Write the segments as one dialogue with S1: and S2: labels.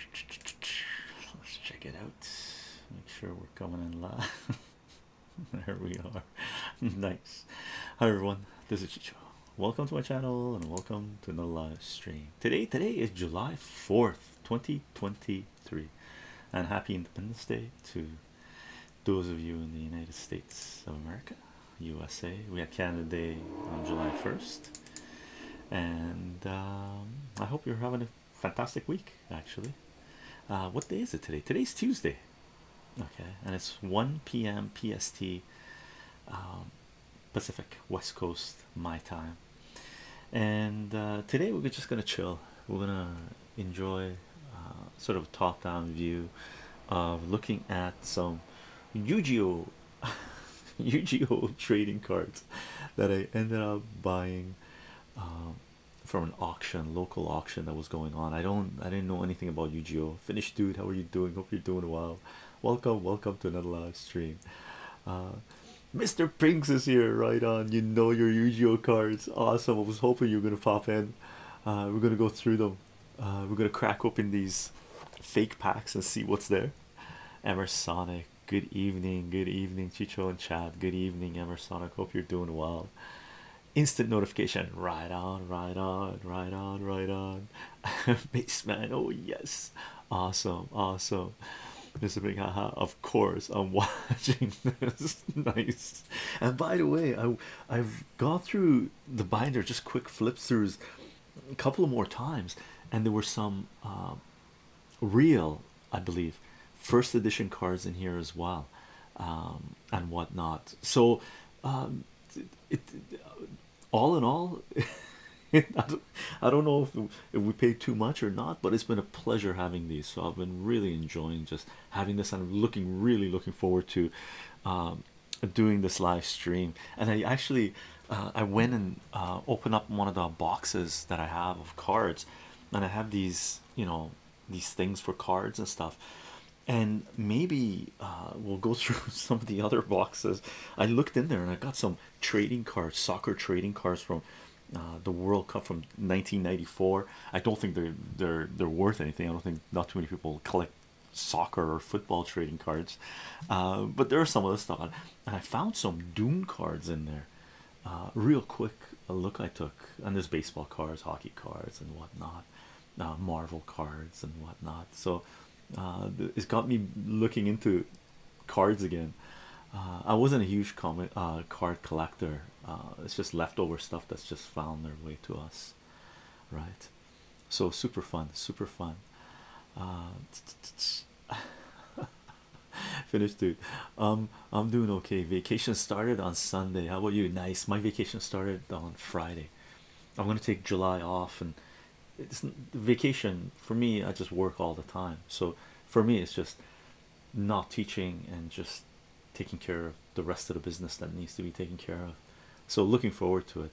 S1: Let's check it out. Make sure we're coming in live. there we are. nice. Hi everyone. This is Chicho. Welcome to my channel and welcome to the live stream. Today, today is July 4th, 2023. And happy Independence Day to those of you in the United States of America, USA. We had Canada Day on July 1st and um, I hope you're having a fantastic week. Actually, uh, what day is it today? Today's Tuesday, okay, and it's 1 p.m. PST, um, Pacific West Coast, my time. And uh, today we're just gonna chill, we're gonna enjoy uh, sort of a top down view of looking at some Yu UGO trading cards that I ended up buying um, from an auction, local auction that was going on. I don't, I didn't know anything about UGO. Finnish dude, how are you doing? Hope you're doing well. Welcome, welcome to another live stream. Uh, Mr. Pinks is here, right on. You know your UGO cards. Awesome. I was hoping you were gonna pop in. Uh, we're gonna go through them. Uh, we're gonna crack open these fake packs and see what's there. Emersonic, Good evening, good evening, Chicho and Chad. Good evening, Emersonic. Hope you're doing well. Instant notification. Right on, right on, right on, right on. Baseman. Oh yes. Awesome. Awesome. Mr. Big Haha. Of course, I'm watching this. nice. And by the way, I I've gone through the binder, just quick flips throughs a couple more times, and there were some um, real i believe first edition cards in here as well um, and whatnot so um, it, all in all I, don't, know if, we paid too much or not but it's been a pleasure having these so i've been really enjoying just having this and looking really looking forward to um, doing this live stream and i actually uh, I went and uh, opened up one of the boxes that I have of cards, and I have these, you know, these things for cards and stuff. And maybe uh, we'll go through some of the other boxes. I looked in there and I got some trading cards, soccer trading cards from the World Cup from 1994. I don't think they're they're they're worth anything. I don't think not too many people collect soccer or football trading cards, but there are some of other stuff and I found some Doom cards in there. Uh, real quick look I took, and there's baseball cards, hockey cards, and whatnot, uh, Marvel cards, and whatnot. So uh, it's got me looking into cards again. I wasn't a huge comic card collector. it's just leftover stuff that's just found their way to us, right? So super fun, super fun. Uh, finished dude um i'm doing okay vacation started on sunday how about you nice my vacation started on friday i'm going to take july off and it's vacation for me i just work all the time so for me it's just not teaching and just taking care of the rest of the business that needs to be taken care of so looking forward to it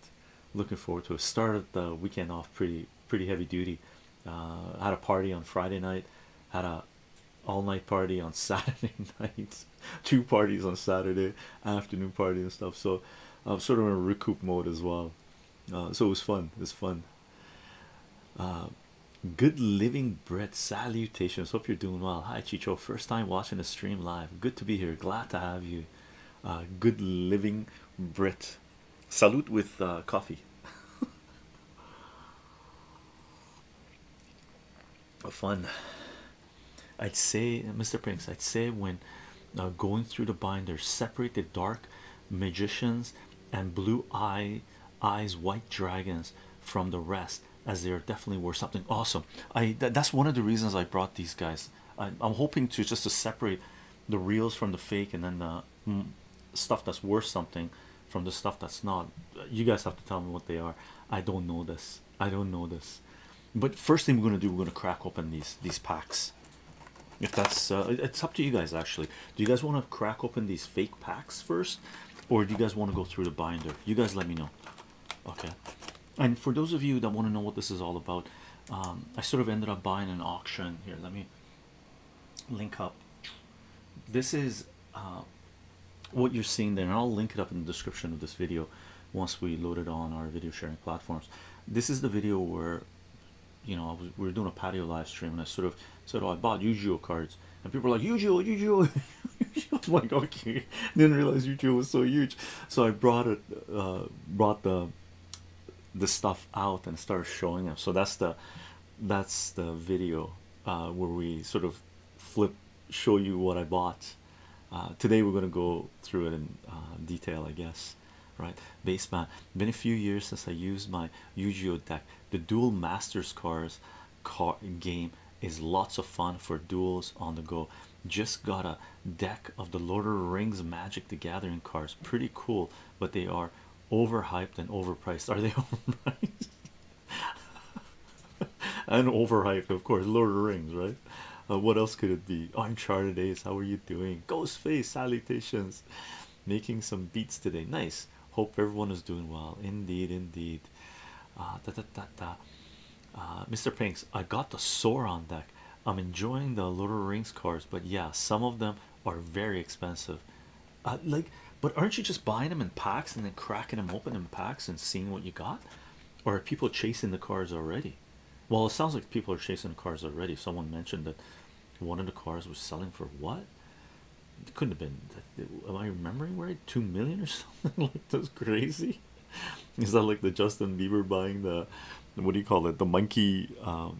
S1: looking forward to it started the weekend off pretty pretty heavy duty. Uh, had a party on Friday night, had a all night party on Saturday nights, two parties on Saturday afternoon party and stuff. So I'm sort of in recoup mode as well. Uh, so it was fun. It's fun. Uh, good living bread salutations hope you're doing well hi chicho first time watching the stream live good to be here glad to have you good living brit salute. with uh, coffee. Fun. I'd say, Mr. Prince. I'd say when uh, going through the binder, separate the dark magicians and blue eye eyes white dragons from the rest as they are definitely worth something awesome i that's one of the reasons i brought these guys I, am hoping to just to separate the reels from the fake and then the Mm, stuff that's worth something from the stuff that's not. You guys have to tell me what they are. I don't know this. I don't know this. But first thing we're gonna do, we're gonna crack open these these packs. If that's uh, it's up to you guys actually. Do you guys want to crack open these fake packs first, or do you guys want to go through the binder? You guys let me know. Okay. And for those of you that want to know what this is all about, um, I sort of ended up buying an auction here. Let me link up this is uh, what you're seeing there and I'll link it up in the description of this video once we load it on our video sharing platforms this is the video where you know we were doing a patio live stream and I sort of said oh I bought yu cards and people are like Yu-Gi-Oh yu oh I'm like okay didn't realize yu was so huge so I brought it uh, brought the the stuff out and start showing them so that's the that's the video uh, where we sort of flip show you what I bought uh, today we're gonna go through it in uh, detail I guess right baseband been a few years since I used my yu deck the dual masters cards car game is lots of fun for duels on the go just got a deck of the Lord of the Rings Magic the Gathering cards pretty cool but they are overhyped and overpriced. Are they overpriced? and overhyped, of course. Lord of the Rings, right? Uh, what else could it be? Uncharted days. how are you doing? Ghostface, salutations. Making some beats today. Nice. Hope everyone is doing well. Indeed, indeed. Uh, da, da, da, da. Uh, Mr. Pinks, I got the sore on deck. I'm enjoying the Lord of the Rings cards, but yeah, some of them are very expensive. Uh, like, but aren't you just buying them in packs and then cracking them open in packs and seeing what you got? Or are people chasing the cars already? Well, it sounds like people are chasing the cars already. Someone mentioned that one of the cars was selling for what? It couldn't have been. Am I remembering right? Two million or something like that's crazy. Is that like the Justin Bieber buying the what do you call it? The monkey um,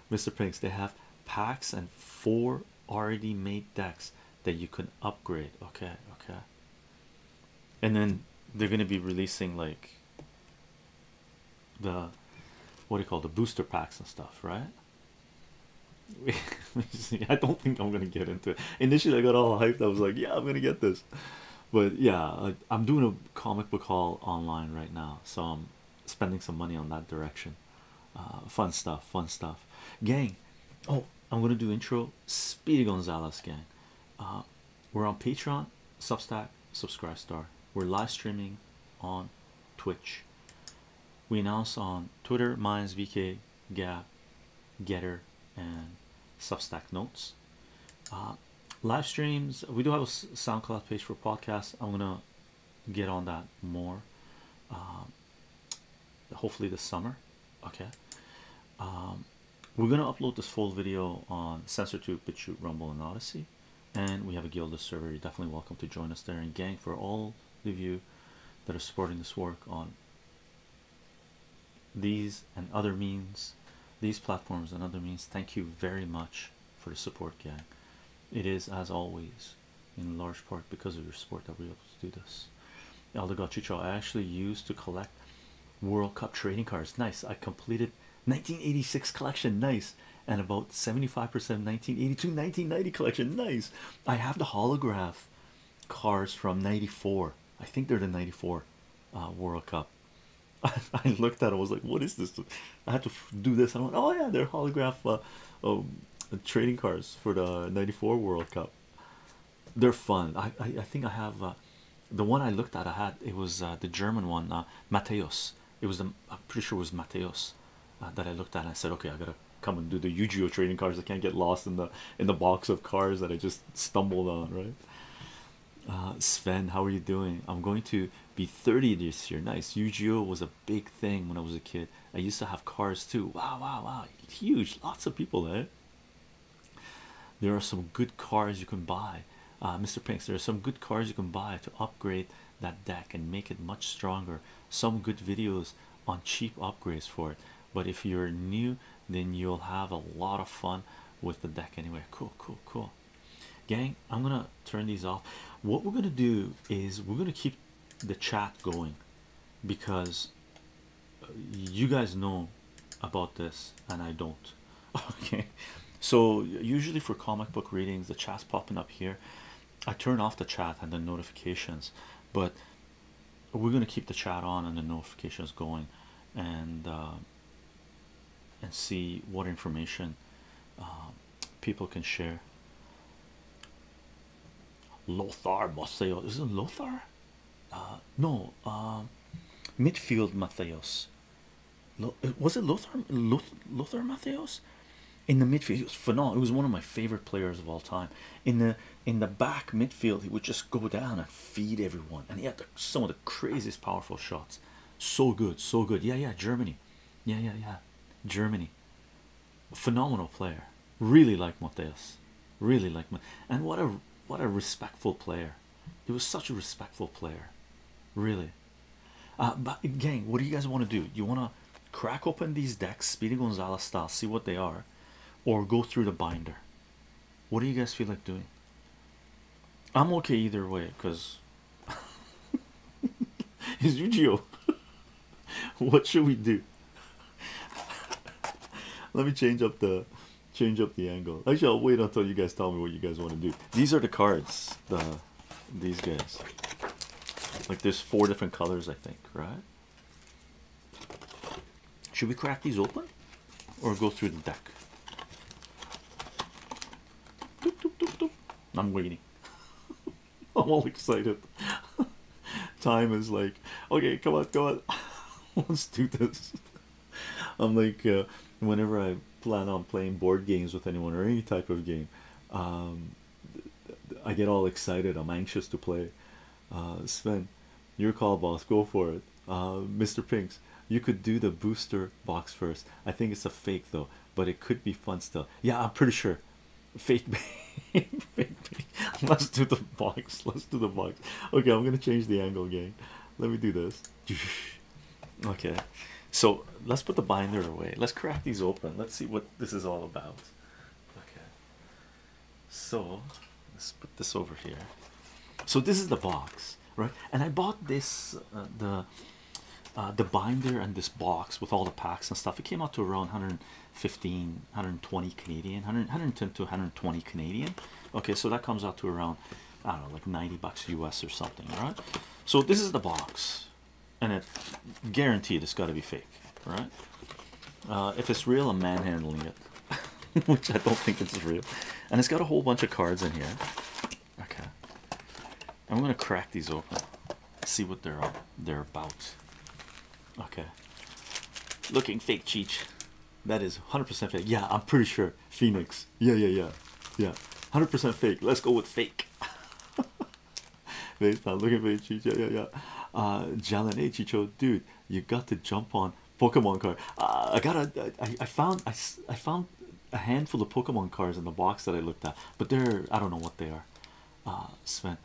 S1: Mr. Pranks, they have packs and four already made decks that you can upgrade. Okay, okay. And then they're gonna be releasing like the what do you call the booster packs and stuff, right? see, I don't think I'm gonna get into it. Initially, I got all hyped. I was like, "Yeah, I'm gonna get this," but yeah, I, I'm doing a comic book haul online right now, so I'm spending some money on that direction uh, fun stuff fun stuff gang oh i'm gonna do intro speedy gonzalez gang uh, we're on patreon substack subscribe star we're live streaming on twitch we announce on twitter minds vk gap getter and substack notes uh, live streams we do have a soundcloud page for podcasts i'm gonna get on that more um, hopefully this summer okay um, we're gonna upload this full video on SensorTube, BitChute, Rumble, and Odyssey, and we have a Gilda server. You're definitely welcome to join us there. And gang, for all of you that are supporting this work on these and other means, these platforms and other means, thank you very much for the support, gang. It is, as always, in large part because of your sport that we're able to do this. Aldo Chicho, I actually used to collect World Cup trading cards. Nice. I completed 1986 collection. Nice. And about 75% 1982, 1990 collection. Nice. I have the holograph cards from 94. I think they're the 94 uh, World Cup. I, I looked at it, I was like, what is this? I had to do this. I went, oh yeah, they're holograph uh, um, trading cards for the '94 World Cup. They're fun. I I, think I have uh, the one I looked at. I had it was uh, the German one, Mateos. It was the I'm pretty sure it was Mateos that I looked at. and I said, okay, I gotta come and do the Yu-Gi-Oh trading cards. I can't get lost in the in the box of cards that I just stumbled on. Right. Sven, how are you doing? I'm going to be 30 this year. Nice. Yu-Gi-Oh was a big thing when I was a kid. I used to have cars too. Wow, wow, wow! Huge, lots of people there. Eh? There are some good cars you can buy, uh, Mr. Pinks. There are some good cars you can buy to upgrade that deck and make it much stronger. Some good videos on cheap upgrades for it. But if you're new, then you'll have a lot of fun with the deck anyway. Cool, cool, cool. Gang, I'm gonna turn these off. What we're going to do is we're going to keep the chat going because uh, you guys know about this and I don't. Okay, so usually for comic book readings, the chat's popping up here. I turn off the chat and the notifications, but we're going to keep the chat on and the notifications going and uh, and see what information. Uh, people can share. Lothar Matheos, is it Lothar? Uh, no, um, midfield Matheos. Lo was it Lothar Loth Lothar Matheos in the midfield? It was phenomenal. It was one of my favorite players of all time. In the in the back midfield, he would just go down and feed everyone, and he had some of the craziest powerful shots. So good, so good. Yeah, yeah, Germany. Yeah, yeah, yeah, Germany phenomenal player. Really like Mateus. Really like and what a what a respectful player. He was such a respectful player. Really. Uh, but gang, what do you guys want to do? You want to crack open these decks, Speedy Gonzalez style, see what they are, or go through the binder? What do you guys feel like doing? I'm okay either way because is yu gi what should we do? Let me change up the change up the angle. Actually, I'll wait until you guys tell me what you guys want to do. These are the cards, the these guys. Like there's four different colors, I think, right? Should we crack these open or go through the deck? I'm waiting. I'm all excited. Time is like, okay, come on, come on, let's do this. I'm like, uh, whenever I plan on playing board games with anyone or any type of game, um, I get all excited. I'm anxious to play. Uh, Sven, your call, boss. Go for it. Uh, Mr. Pinks, you could do the booster box first. I think it's a fake though but it could be fun still. Yeah, I'm pretty sure. Fake babe. Let's do the box. Let's do the box. Okay, I'm gonna change the angle again. Let me do this. Okay, so let's put the binder away. Let's crack these open. Let's see what this is all about. Okay, so let's put this over here. So this is the box, right? And I bought this uh, the uh, the binder and this box with all the packs and stuff. It came out to around 115, 120 Canadian, 110 to 120 Canadian. Okay, so that comes out to around I don't know, like 90 bucks US or something. All right, so this is the box, and it guaranteed it's got to be fake, right? Uh, if it's real, I'm manhandling it, which I don't think it's real. And it's got a whole bunch of cards in here. Okay, I'm gonna crack these open, see what they're they're about. Okay, looking fake Cheech. That is 100% fake. Yeah, I'm pretty sure Phoenix. Yeah, yeah, yeah, yeah. 100% fake. Let's go with fake. Based on looking fake Cheech. Yeah, yeah, yeah. Uh, Jalen A dude, you got to jump on Pokemon card. Uh, I got a. I, I found. I, I found a handful of Pokemon cards in the box that I looked at, but they're I don't know what they are uh, Sven.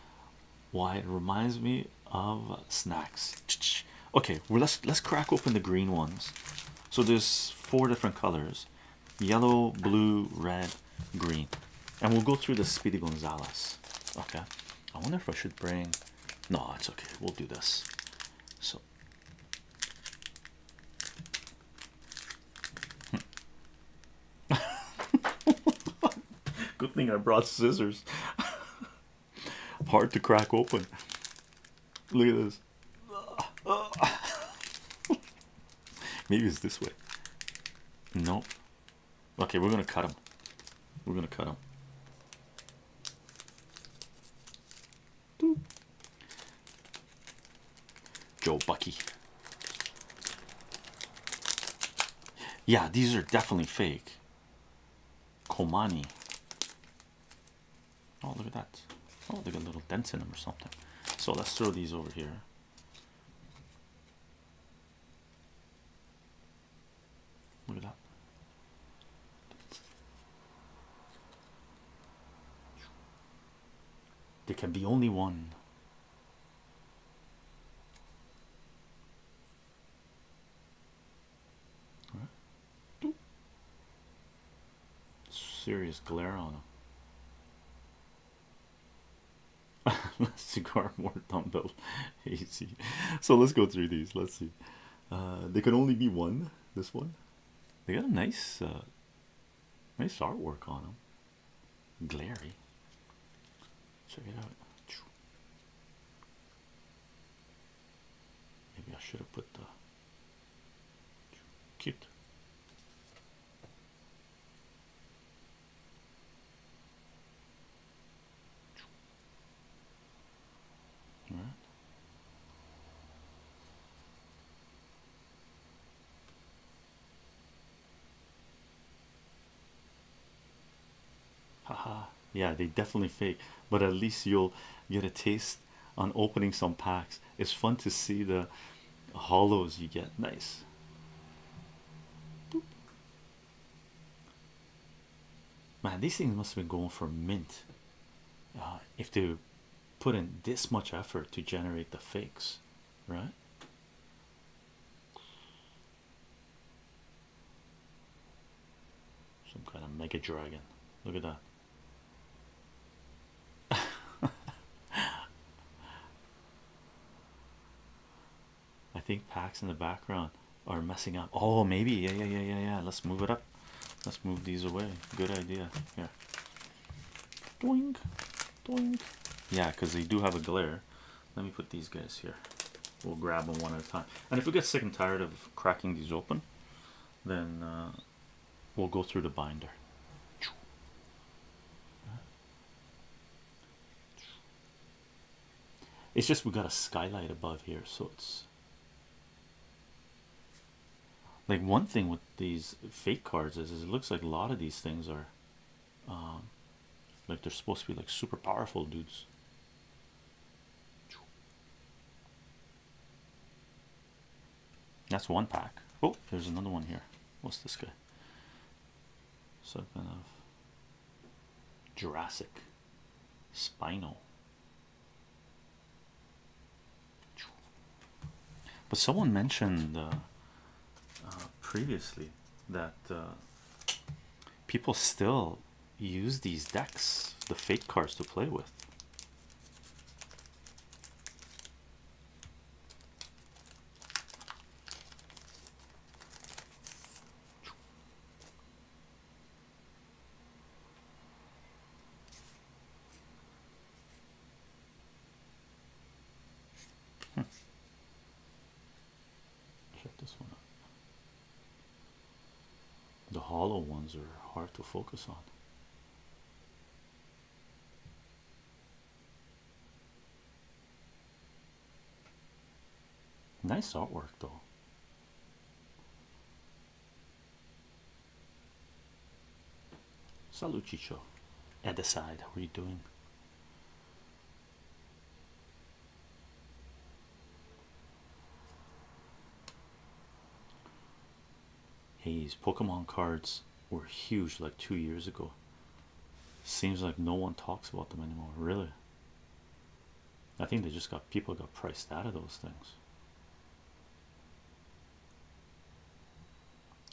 S1: Why it reminds me of snacks. Okay, well let's let's crack open the green ones. So there's four different colors: yellow, blue, red, green, and we'll go through the Speedy Gonzales. Okay. I wonder if I should bring. No, it's okay. We'll do this. So Good thing I brought scissors. Hard to crack open. Look at this. Maybe it's this way. No. Okay, we're gonna cut him. We're gonna cut him. Joe Bucky. Yeah, these are definitely fake. Komani. Oh, look at that. Oh, they got little dents in them or something. So let's throw these over here. Look at that. There can be only one. Serious glare on him. Less cigar, more dumbbell. Easy. So let's go through these. Let's see. Uh, they could only be one. This one. They got a nice, uh, nice artwork on them glary. Check it out. Maybe I should have put the cute. All right haha yeah they definitely fake but at least you'll get a taste on opening some packs it's fun to see the hollows you get nice man these things must be going for mint uh, if they put in this much effort to generate the fakes right some kind of mega dragon. Look at that. I think packs in the background are messing up. Oh, maybe. Yeah, yeah, yeah, yeah, yeah. Let's move it up. Let's move these away. Good idea. Yeah. Doink. Doink. Yeah, because they do have a glare. Let me put these guys here. We'll grab them one at a time. And if we get sick and tired of cracking these open, then uh, we'll go through the binder. It's just we have got a skylight above here, so it's like one thing with these fake cards is it looks like a lot of these things are um, like they're supposed to be like super powerful dudes. That's one pack. Oh, there's another one here. What's this guy? Serpent of Jurassic Spinal. But someone mentioned uh, uh, previously that uh, people still use these decks, the fake cards, to play with. Check this one out. The hollow ones are hard to focus on. Nice artwork, though. Salut, Chicho. At the side, how are you doing? Hayes, Pokemon cards were huge like two years ago. Seems like no one talks about them anymore, really. I think they just got people got priced out of those things.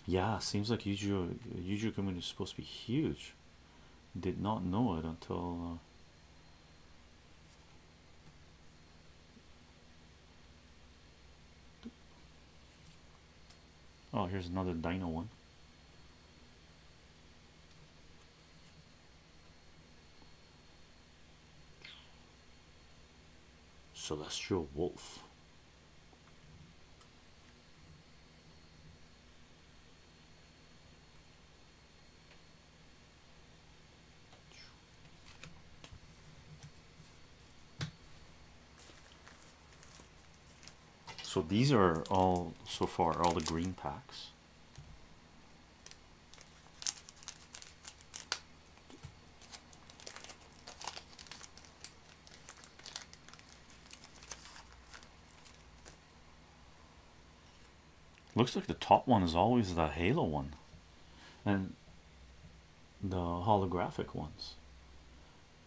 S1: Yeah, seems like Yu-Gi-Oh! yu community is supposed to be huge did not know it until uh, Oh, here's another dino one. Celestial Wolf. So these are all so far all the green packs. Looks like the top one is always the halo one and the holographic ones,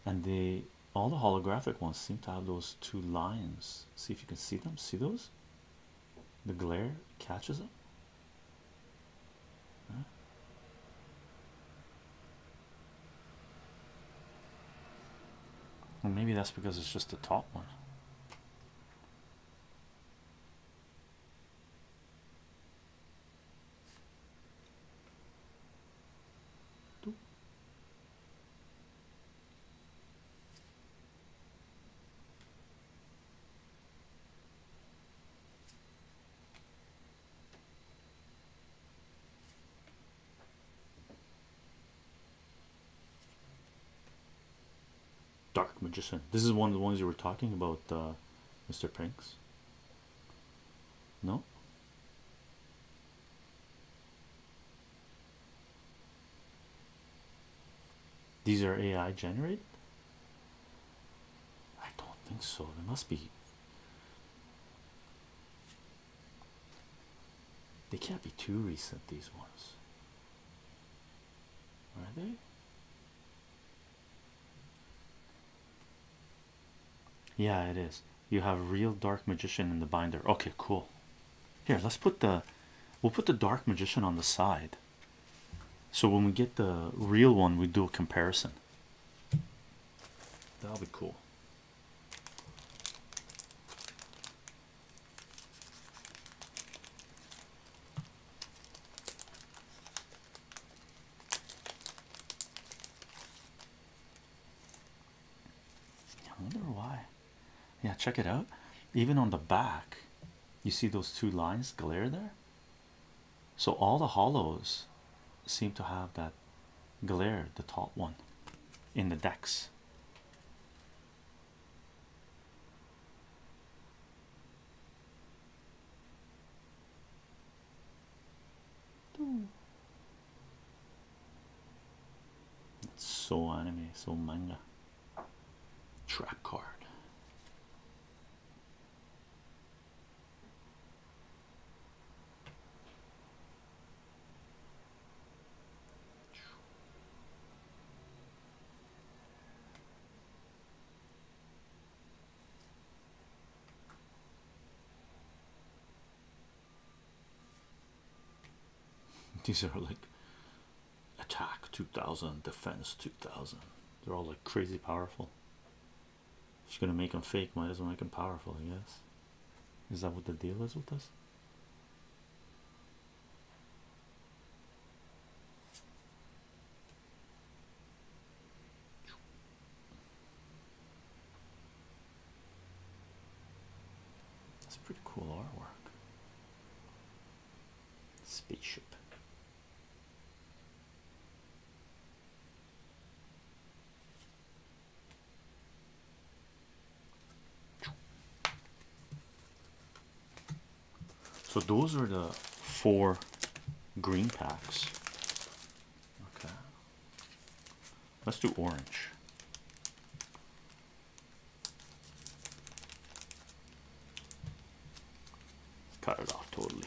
S1: and they all the holographic ones seem to have those two lines. See if you can see them. See those? The glare catches them. Well, maybe that's because it's just the top one. Dark Magician. This is one of the ones you were talking about, uh, Mr. Prinks. No? These are AI generated? I don't think so. They must be. They can't be too recent, these ones. Are they? Yeah, it is. You have real dark magician in the binder. Okay, cool. Here, let's put the we'll put the dark magician on the side. So when we get the real one, we do a comparison. That'll be cool. I wonder why. Yeah, check it out. Even on the back, you see those two lines glare there. So all the hollows seem to have that that glare, the top one in the decks. It's so anime, so manga. Trap card. These are like attack 2000, defense 2000. They're all like crazy powerful. She's gonna make them fake, might as well make them powerful, I guess. Is that what the deal is with this? That's pretty cool artwork. Spaceship. So those are the four green packs. Okay. Let's do orange. Cut it off totally.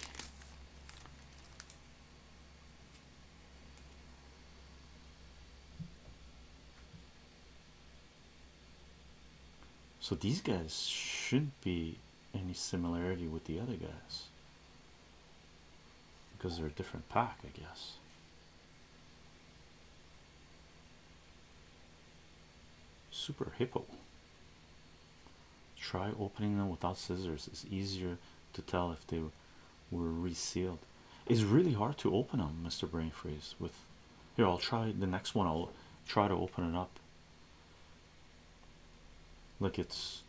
S1: So these guys shouldn't be any similarity with the other guys because they're a different pack, I guess. Super hippo. Try opening them without scissors. It's easier to tell if they were resealed. It's really hard to open them, Mr. Brainfreeze. With here, I'll try the next one. I'll try to open it up. Like it's,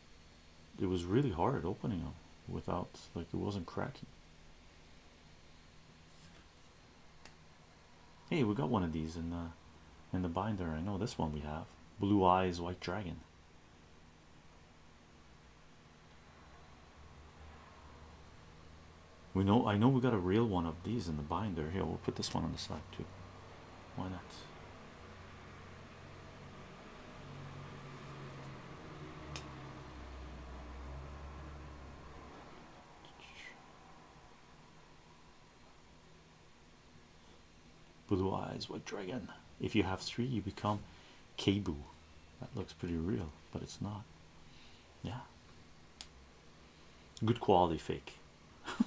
S1: it was really hard opening them without like it wasn't cracking. Hey, we got one of these in the in the binder. I know this one we have. Blue eyes, white dragon. We know I know we got a real one of these in the binder here. We'll put this one on the side too. Why not? Blue what dragon? If you have three, you become Kabu. That looks pretty real, but it's not. Yeah. Good quality fake.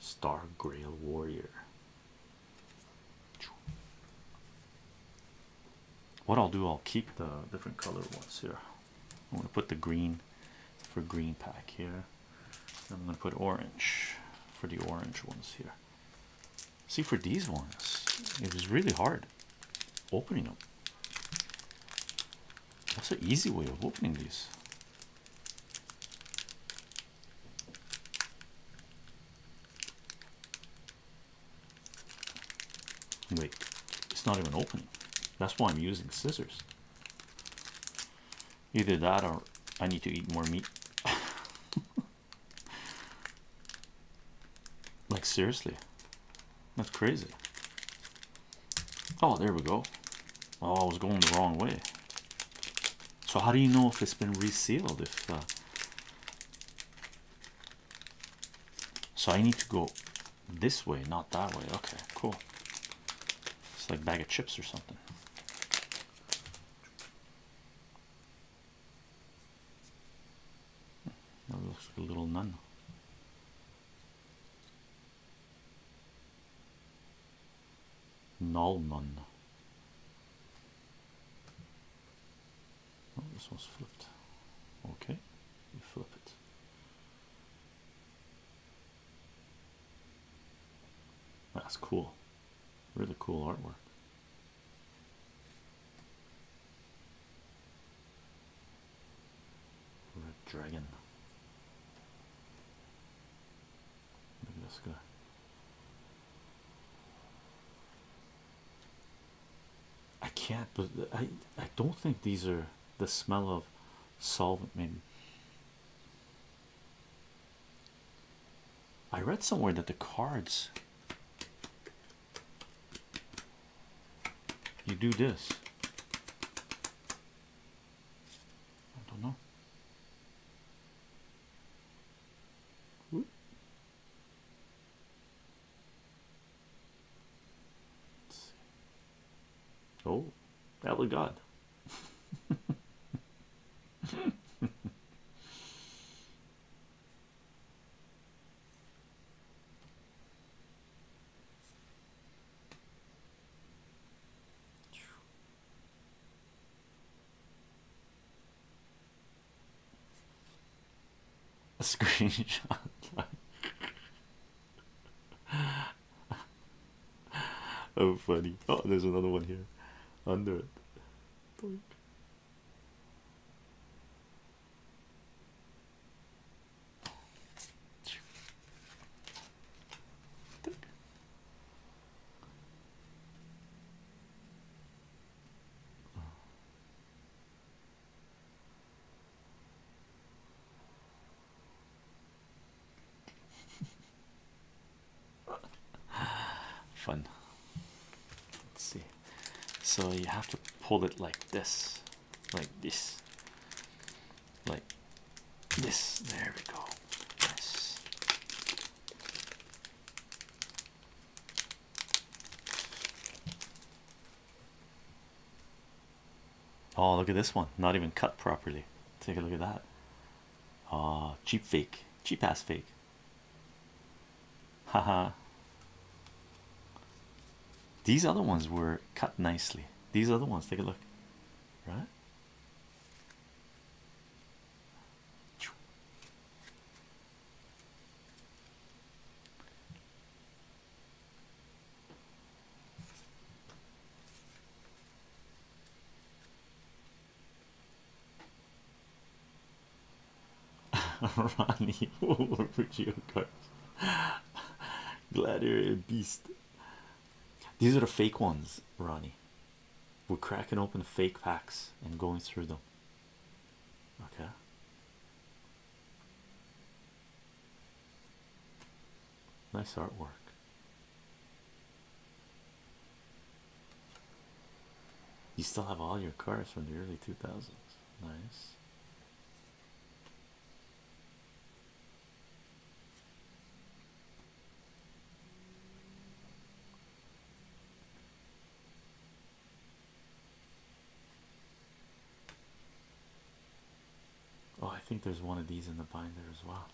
S1: Star Grail Warrior. What I'll do, I'll keep the different color ones here. I'm gonna put the green for green pack here. I'm gonna put orange for the orange ones here. See, for these ones, it was really hard opening them. That's an easy way of opening these. Wait, it's not even opening. That's why I'm using scissors. Either that or I need to eat more meat. Like seriously, that's crazy. Oh, there we go. Oh, I was going the wrong way. So how do you know if it's been resealed? If uh, so, I need to go this way, not that way. Okay, cool. It's like bag of chips or something. That looks like a little nun. Null nun. Oh, this one's flipped. Okay, you flip it. That's cool. Really cool artwork. Red dragon. Look at this guy. I can't but I I don't think these are the smell of solvent maybe I read somewhere that the cards you do this. I don't know. Oh, that was God. A screenshot. oh, funny. Oh, there's another one here. Under it. Fun. Let's see so you have to pull it like this like this like this there we go nice oh look at this one not even cut properly take a look at that Ah, cheap fake cheap ass fake haha these other ones were cut nicely these other ones take a look right Ronnie over geocards. Gladiator beast. These are the fake ones, Ronnie. We're cracking open fake packs and going through them. Okay. Nice artwork. You still have all your cars from the early 2000s. Nice. Oh, I think there's one of these in the binder as well.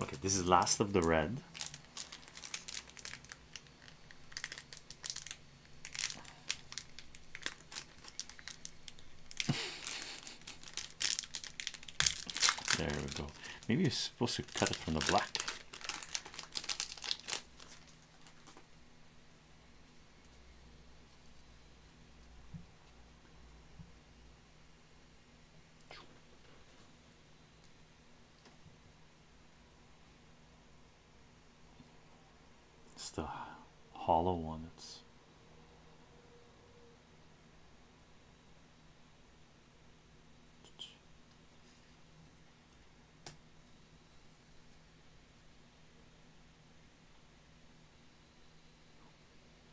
S1: Okay, this is last of the red. there we go. Maybe you're supposed to cut it from the black. It's the hollow one. It's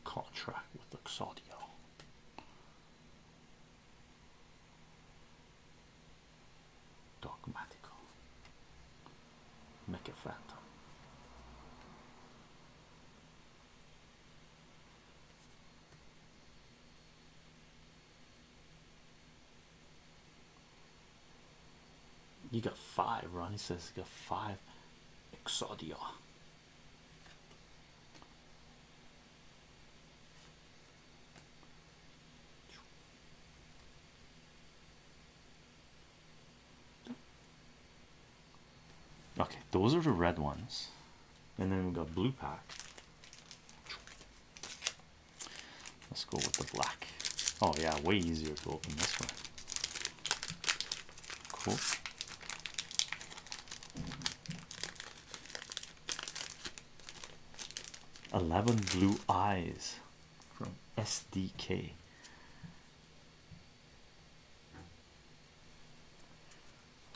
S1: contract with Luxaudio. Dogmatical. Make a phantom. You got five, Ronnie says you got five Exodia. Okay, those are the red ones, and then we got blue pack. Let's go with the black. Oh, yeah, way easier to open this one. Cool. 11 Blue Eyes from SDK.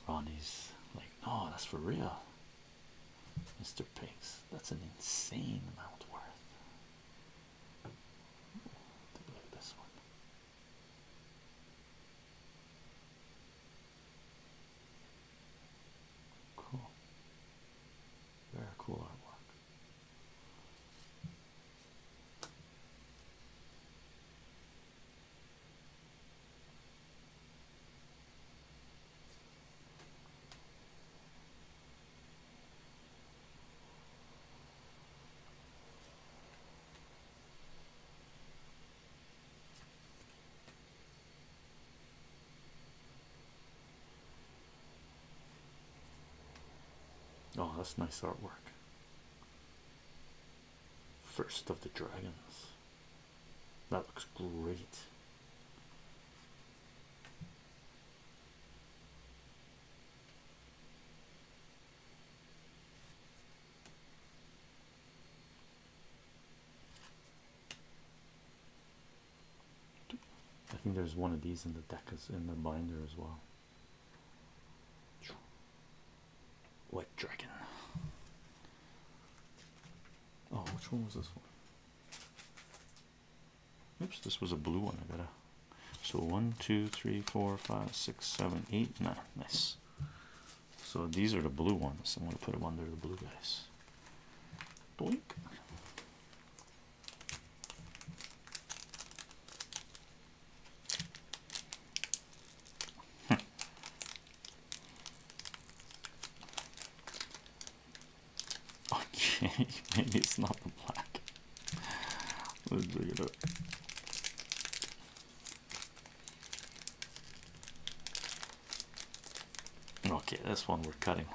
S1: Ronnie's like, no, that's for real. Mr. Pink's. that's an insane amount worth. Ooh, look at this one. Cool. Very cool artwork. Oh, that's nice artwork. First of the Dragons. That looks great. I think there's one of these in the deck in the binder as well. White dragon. Oh, which one was this one? Oops, this was a blue one. I gotta. So one, two, three, four, five, six, seven, eight, nine. Nice. So these are the blue ones. I'm going to put them under the blue guys. Okay, maybe it's not the black. Let's dig it Okay, this one we're cutting.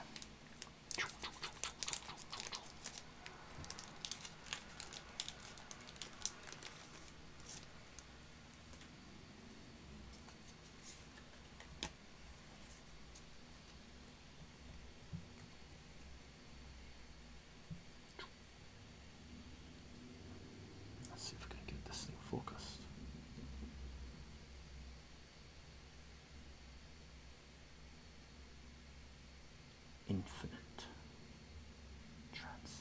S1: Let's see if we can get this thing focused. Infinite trance.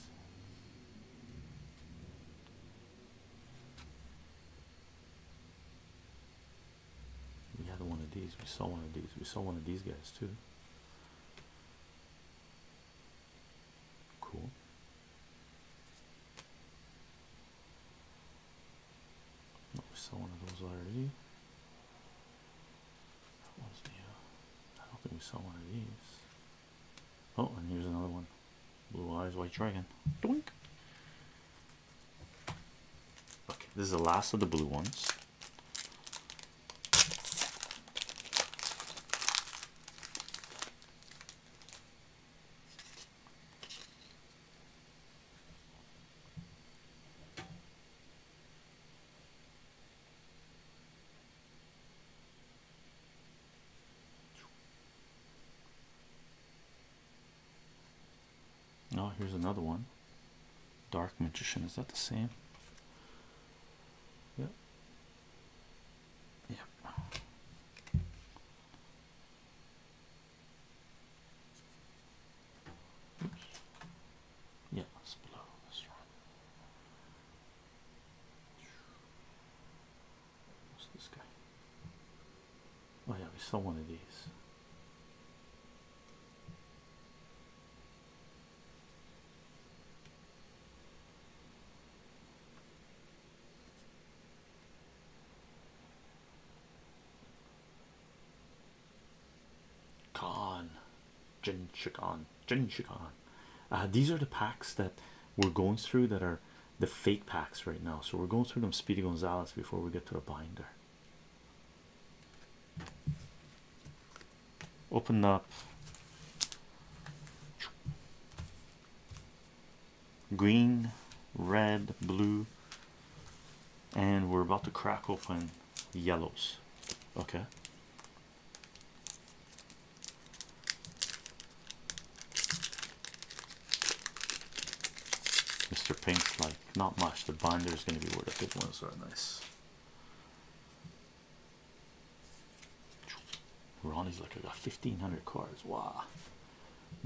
S1: We had one of these. We saw one of these. We saw one of these guys too. Cool. Oh, we saw one of those already. That was the. Uh, I don't think we saw one of these. Oh, and here's another one. Blue eyes, white dragon. Doink. Okay, this is the last of the blue ones. Oh, here's another one. Dark Magician, is that the same? Yep. Yep. Yeah, it's below this one. What's this guy? Oh yeah, we saw one of these. Con Jin Chikon uh, these are the packs that we're going through that are the fate packs right now. So we're going through them Speedy Gonzalez before we get to the binder. Open up green, red, blue, and we're about to crack open yellows. Okay. Mr. Pink's like, not much. The binder is going to be where the big ones are nice. Ronnie's like I got 1500 cars. Wow,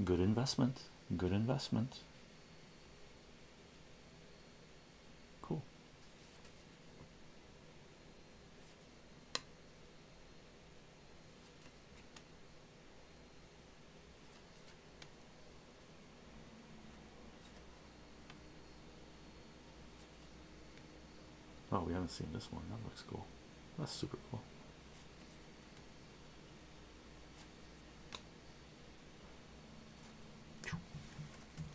S1: good investment, good investment. Cool. Oh, we haven't seen this one. That looks cool. That's super cool.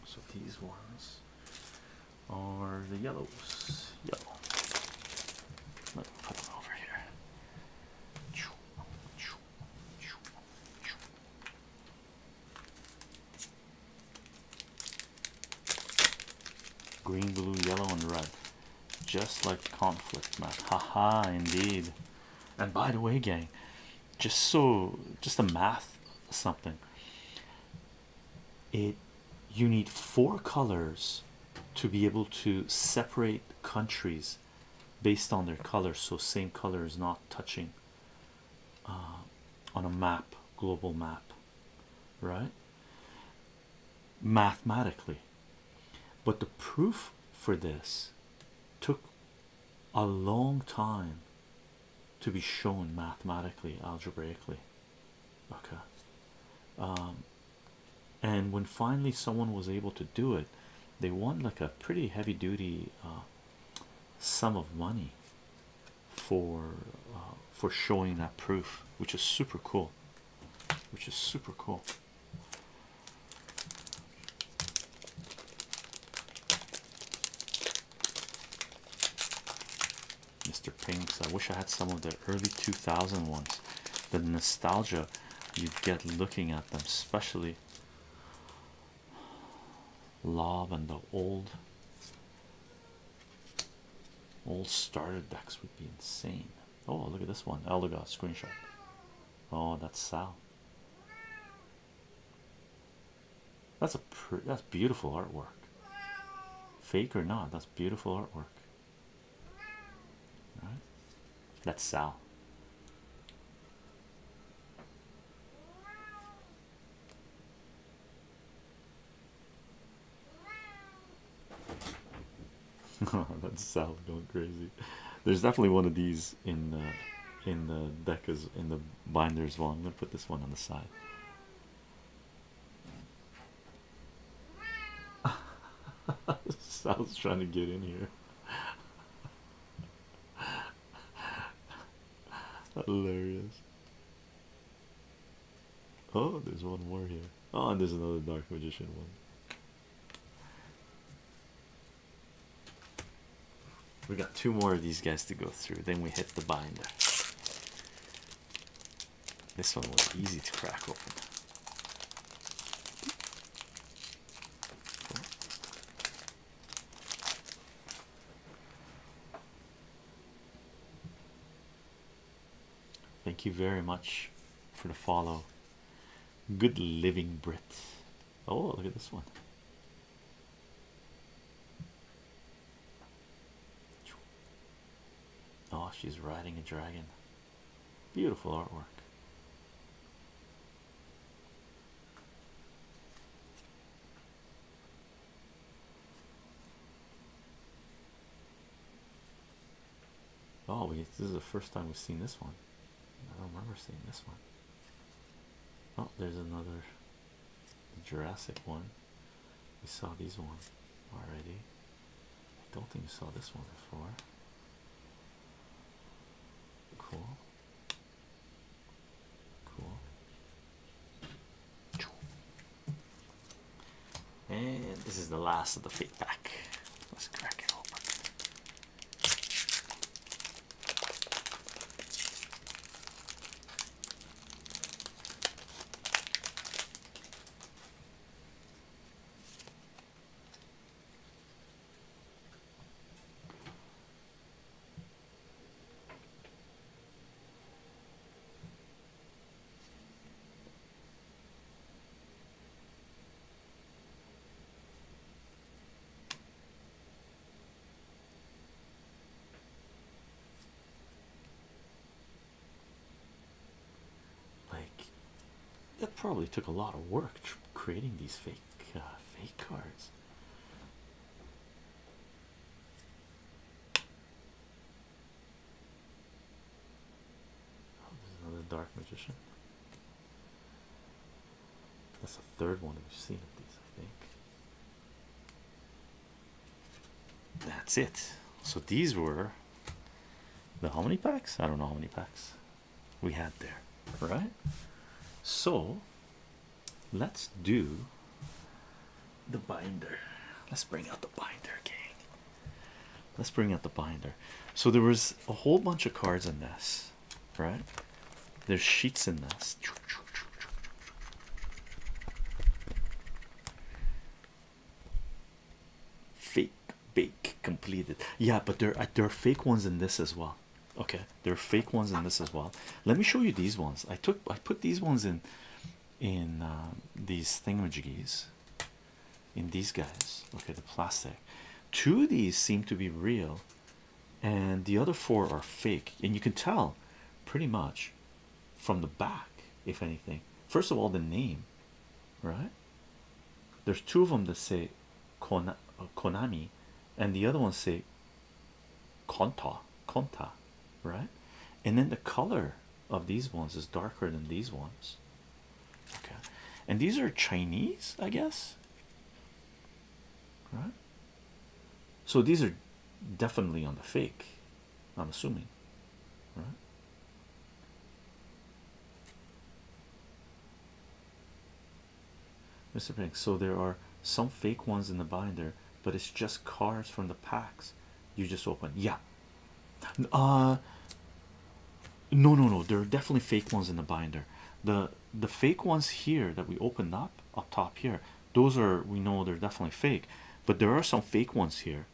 S1: So these ones are the yellows. Yellow. Let me put them over here. Green, blue, yellow, and red just like conflict man haha indeed and by the way gang just so just a math something it you need four colors to be able to separate countries based on their color so same color is not touching uh, on a map global map right mathematically, but the proof for this took a long time to be shown mathematically, algebraically. Okay, um, and when finally someone was able to do it, they won like a pretty heavy duty uh, sum of money for uh, for showing that proof, which is super cool which is super cool. Mr. Pinks, I wish I had some of the early 2000 ones. The nostalgia you get looking at them, especially Love and the old old starter decks would be insane. Oh, look at this one. Eldegoss oh, screenshot. Oh, that's Sal. That's a pr that's beautiful artwork. Fake or not, that's beautiful artwork. All right? That's Sal. That's South going crazy. There's definitely one of these in the uh, in the deck is in the binders. Well, I'm gonna put this one on the side. Sal's trying to get in here. Hilarious. Oh, there's one more here. Oh, and there's another Dark Magician one. We got two more of these guys to go through, then we hit the binder. This one was easy to crack open. Thank you very much for the follow. Good living, Brit. Oh, look at this one. Oh, she's riding a dragon. Beautiful artwork. Oh, this is the first time we've seen this one. I don't remember seeing this one. Oh, there's another Jurassic one. We saw these one already. I don't think we saw this one before. Cool. Cool. And this is the last of the feedback. Let's crack it open. Like that probably took a lot of work creating these fake uh, fake cards. Oh, there's another dark magician. That's the third one we've seen of these, I think. That's it. So these were the how many packs? I don't know how many packs we had there, right? So let's do the binder. Let's bring out the binder, gang. Let's bring out the binder. So there was a whole bunch of cards in this, right? There's sheets in this. Fake bake completed. Yeah, but there there are fake ones in this as well. Okay, there are fake ones in this as well. Let me show you these ones. I took I put these ones in in uh, these thingamajiggies in these guys okay the plastic two of these seem to be real and the other four are fake and you can tell pretty much from the back if anything first of all the name right there's two of them that say uh, konami and the other one say Kanta, Kanta, right and then the color of these ones is darker than these ones. Okay, and these are Chinese, I guess. Right? So these are definitely on the fake, I'm assuming. Right? Mr. Pink, so there are some fake ones in the binder, but it's just cards from the packs you just open. Yeah, uh no no no there are definitely fake ones in the binder. The the fake ones here that we opened up up top here, those are we know they're definitely fake, but there are some fake ones here.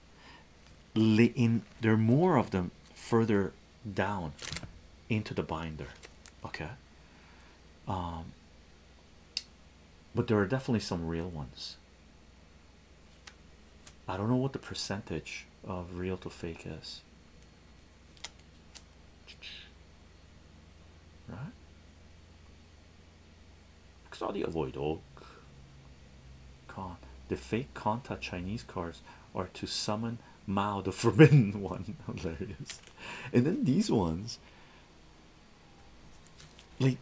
S1: In there are more of them further down into the binder. Okay. Um but there are definitely some real ones I don't know what the percentage of real to fake is. Right? Exodia Void Oak. Con. The fake Conta Chinese cars or to summon Mao, the forbidden one. Hilarious. And then these ones, like,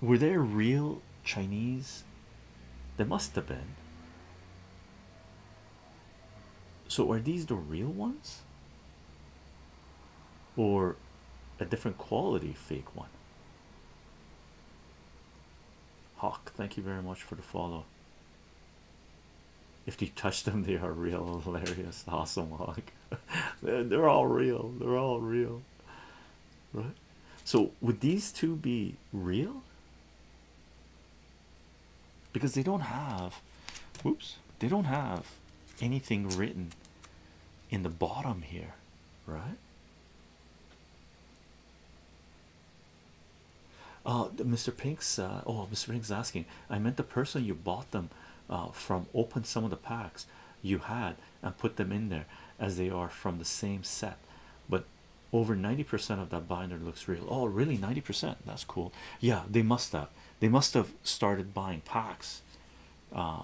S1: were there real Chinese? There must have been. So are these the real ones? Or a different quality fake one? Hawk, thank you very much for the follow. If you touch them, they are real, hilarious, awesome Hawk. they're all real, they're all real. Right? So would these two be real? because they don't have whoops they don't have anything written in the bottom here right uh mr pink's uh, oh mr pink's asking i meant the person you bought them uh, from opened some of the packs you had and put them in there as they are from the same set but over 90% of that binder looks real. Oh, really? 90%? That's cool. Yeah, they must have. They must have started buying packs, uh,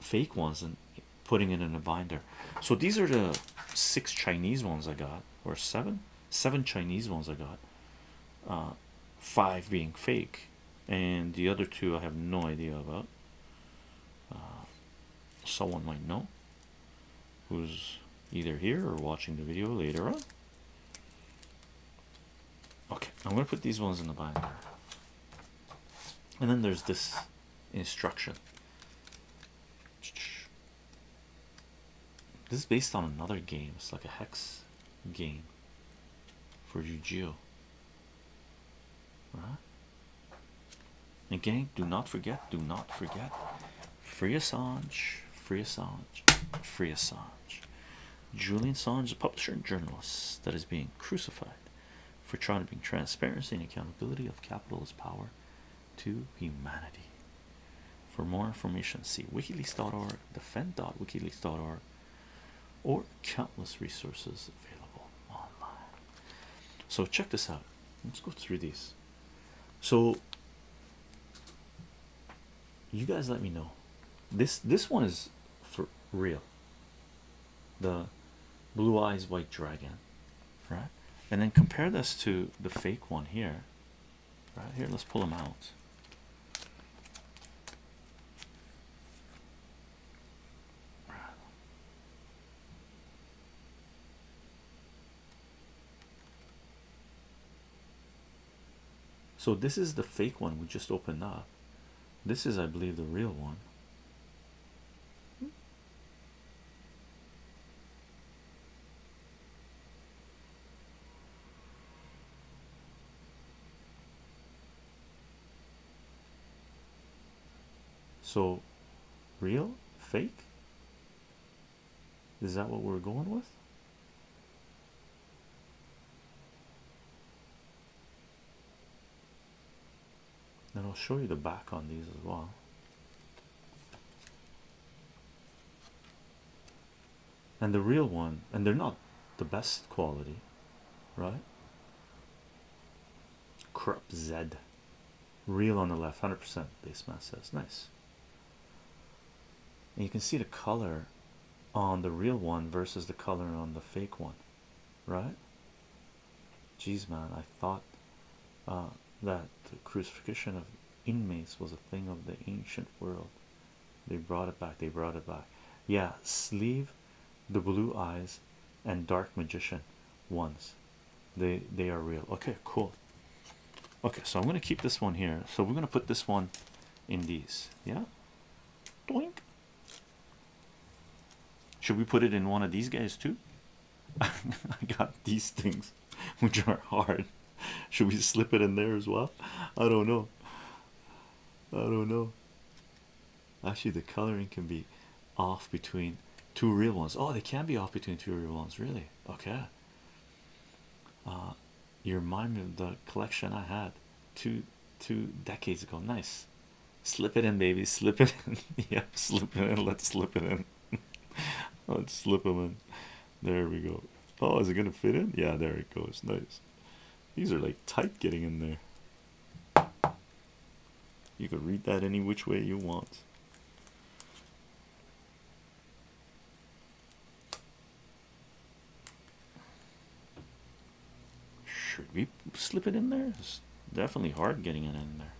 S1: fake ones, and putting it in a binder. So these are the six Chinese ones I got, or seven, seven Chinese ones I got. Uh, five being fake, and the other two I have no idea about. Uh, someone might know who's either here or watching the video later on. Okay, I'm going to put these ones in the binder. And then there's this instruction. This is based on another game. It's like a hex game for Yu-Gi-Oh. Again, do not forget, do not forget. Free Assange, free Assange, free Assange. Julian Assange a publisher and journalist that is being crucified for trying to bring transparency and accountability of capitalist power to humanity. For more information, see wikileaks.org, defend.wikileaks.org, or countless resources available online. So check this out. Let's go through these so you guys let me know this this one is for real the blue eyes white dragon right and then compare this to the fake one here right here let's pull them out so this is the fake one we just opened up. This is, I believe, the real one. So real, fake, is that what we're going with? And I'll show you the back on these as well. And the real one, and they're not the best quality, right? Crap Z. Real on the left, 100% base mass says. Nice. And you can see the color on the real one versus the color on the fake one, right? Geez, man, I thought uh, that the crucifixion of inmates was a thing of the ancient world. They brought it back, they brought it back. Yeah, sleeve, the blue eyes, and dark magician ones they they are real okay cool okay so i'm going to keep this one here so we're going to put this one in these yeah Doink. should we put it in one of these guys too i got these things which are hard should we slip it in there as well i don't know i don't know actually the coloring can be off between two real ones oh they can be off between two real ones really okay uh, you remind me of the collection I had two two decades ago. Nice. Slip it in, baby. Slip it in. yep, slip it in. Let's slip it in. Let's slip them in. There we go. Oh, is it gonna fit in? Yeah, there it goes. Nice. These are like tight getting in there. You can read that any which way you want. Should we slip it in there? It's definitely hard getting it in there.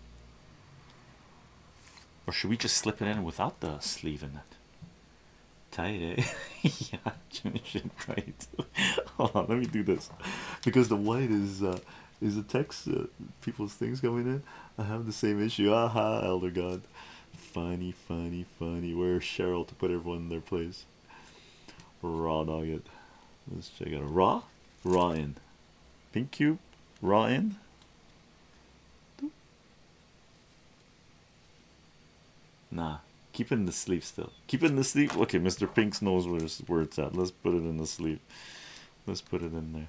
S1: Or should we just slip it in without the sleeve in it? Tight, eh? yeah, Jimmy should let me do this because the white is uh, is a text uh, people's things coming in. I have the same issue. Aha, Elder God. Funny, funny, funny. Where's Cheryl to put everyone in their place? Raw nugget. Let's check out raw, Ryan. in, pink cube, raw Nah, keep in the sleeve still. Keep in the sleeve. Okay, Mr. Pink's knows where it's, where it's at. Let's put it in the sleeve. Let's put it in there.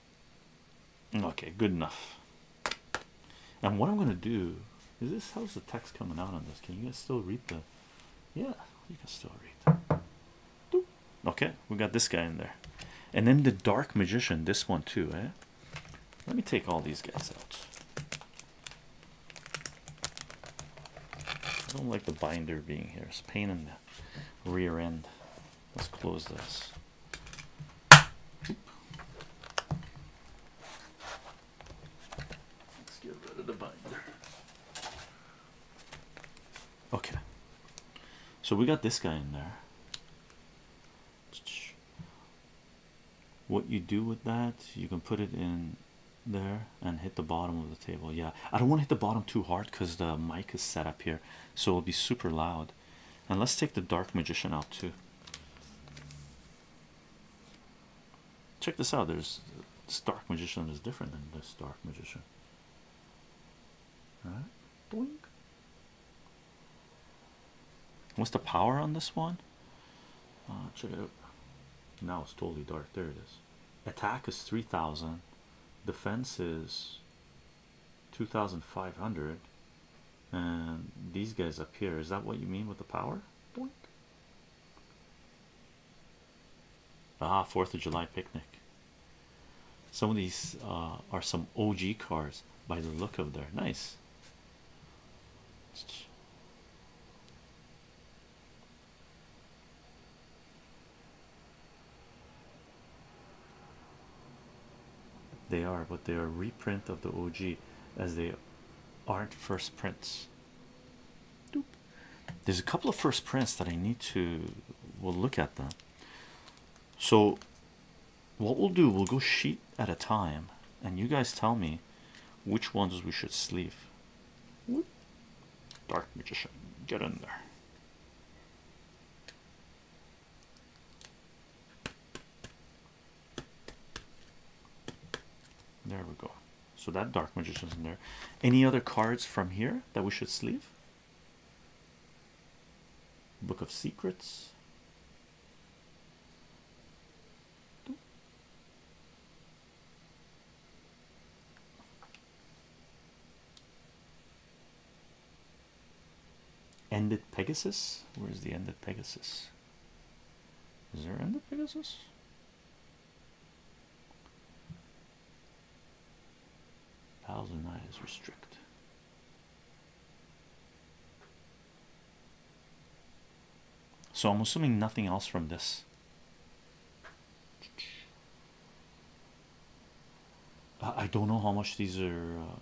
S1: Okay, good enough. And what I'm gonna do is this how's the text coming out on this? Can you guys still read the yeah, you can still read. Okay, we got this guy in there. And then the dark magician, this one too, eh? Let me take all these guys out. I don't like the binder being here. It's pain in the rear end. Let's close this. Let's get rid of the binder. Okay. So we got this guy in there. What you do with that, you can put it in there and hit the bottom of the table. Yeah, I don't want to hit the bottom too hard because the mic is set up here, so it'll be super loud. And let's take the Dark Magician out too. Check this out. There's this Dark Magician is different than this Dark Magician. All right? Boink. What's the power on this one? Uh, check it out. Now it's totally dark. There it is. Attack is 3000. Defense is 2500 and these guys up here is that what you mean with the power Boink. ah fourth of july picnic some of these uh, are some og cars by the look of there nice they are, but they are reprint of the OG as they aren't first prints. There's a couple of first prints that I need to we'll look at them. So what we'll do, we'll go sheet at a time, and you guys tell me which ones we should sleeve. Dark magician, get in there. There we go. So that Dark Magician's in there. Any other cards from here that we should sleeve? Book of Secrets. Ended Pegasus. Where's the ended Pegasus? Is there ended Pegasus? Thousand eyes restrict. So I'm assuming nothing else from this. I don't know how much these are. Uh,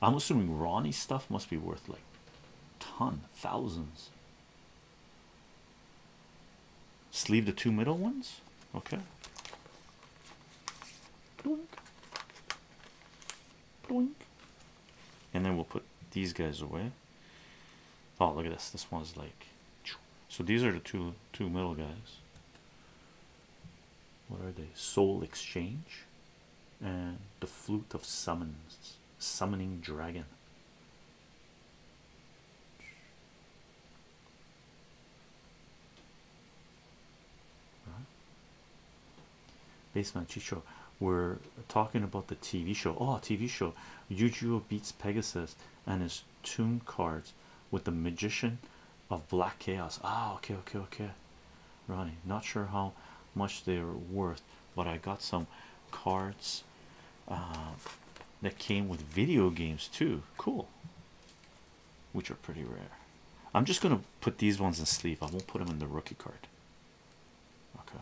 S1: I'm assuming Ronnie stuff must be worth like ton thousands. Sleeve the two middle ones, okay. Doink. Doink. And then we'll put these guys away. Oh, look at this! This one's like. So these are the two two middle guys what are they? Soul Exchange and the Flute of Summons, Summoning Dragon. Huh? Basement Chicho, we're talking about the TV show. Oh, TV show Yujiro beats Pegasus and his tomb cards with the magician of black chaos ah okay okay okay ronnie not sure how much they're worth but i got some cards uh, that came with video games too cool which are pretty rare i'm just gonna put these ones in sleeve i won't put them in the rookie card okay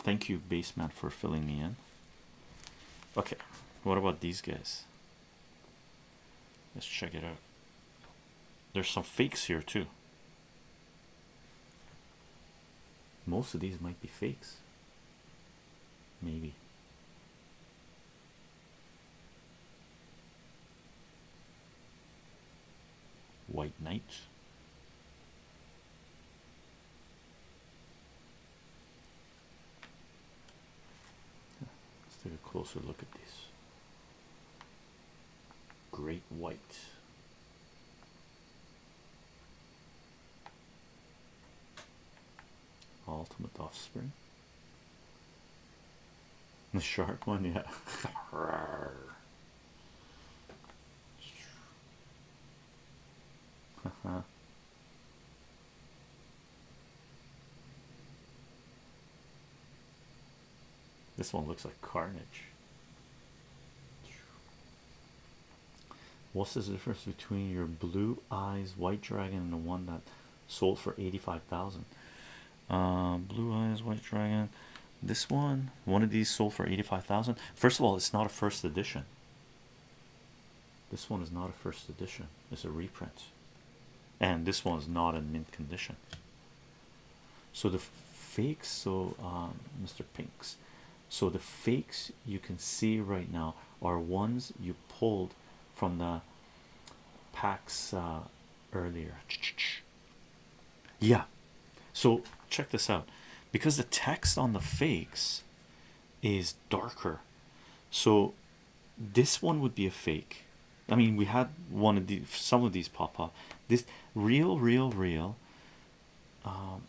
S1: Thank you, Basement, for filling me in. Okay, what about these guys? Let's check it out. There's some fakes here, too. Most of these might be fakes. Maybe. White Knight. Let's take a closer look at this. Great White. Ultimate Offspring. The shark one, yeah. uh This one looks like carnage. What's the difference between your blue eyes white dragon and the one that sold for 85,000? Um, blue eyes white dragon this one one of these sold for 85,000 first of all it's not a first edition this one is not a first edition it's a reprint and this one is not in mint condition so the fakes so Mr. Um, Pinks so the fakes you can see right now are ones you pulled from the packs uh, earlier. Yeah, so check this out because the text on the fakes is darker, so this one would be a fake. I mean, we had one of these. some of these pop up. This real, real, real, um,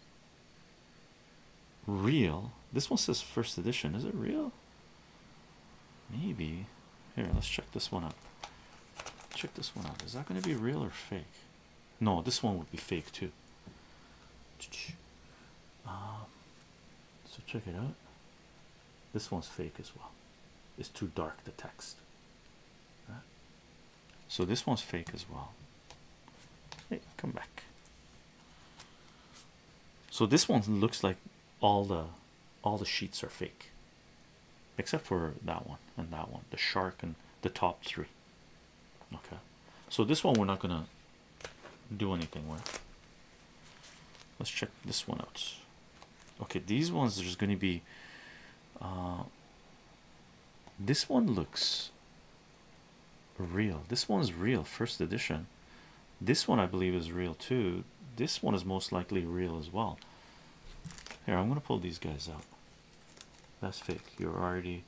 S1: real. This one says first edition. Is it real? Maybe. Here, let's check this one up. Check this one out. Is that going to be real or fake? No, this one would be fake too. Um, so check it out. This one's fake as well. It's too dark, the text. So this one's fake as well. Hey, come back. So this one looks like all the all the sheets are fake except for that one and that one the shark and the top three okay so this one we're not gonna do anything with let's check this one out okay these ones are just gonna be uh, this one looks real this one's real first edition this one I believe is real too this one is most likely real as well here I'm gonna pull these guys out that's fake. You're already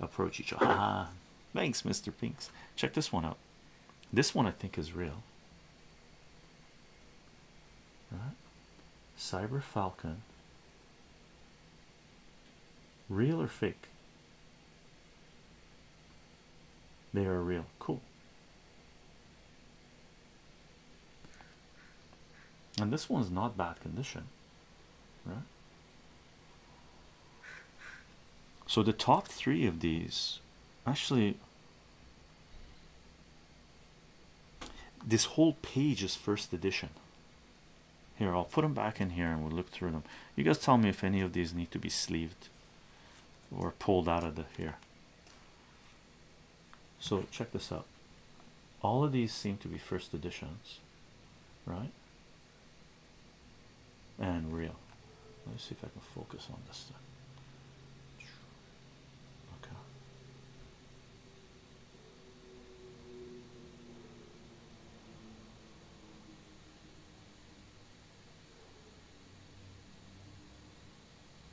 S1: approach each other. Ah, thanks, Mr. Pinks. Check this one out. This one I think is real. Right. Cyber Falcon. Real or fake? They are real. Cool and this one's not bad condition right so the top three of these actually this whole page is first edition here I'll put them back in here and we'll look through them you guys tell me if any of these need to be sleeved or pulled out of the here so check this out. All of these seem to be first editions, right? And real. Let me see if I can focus on this stuff. Okay.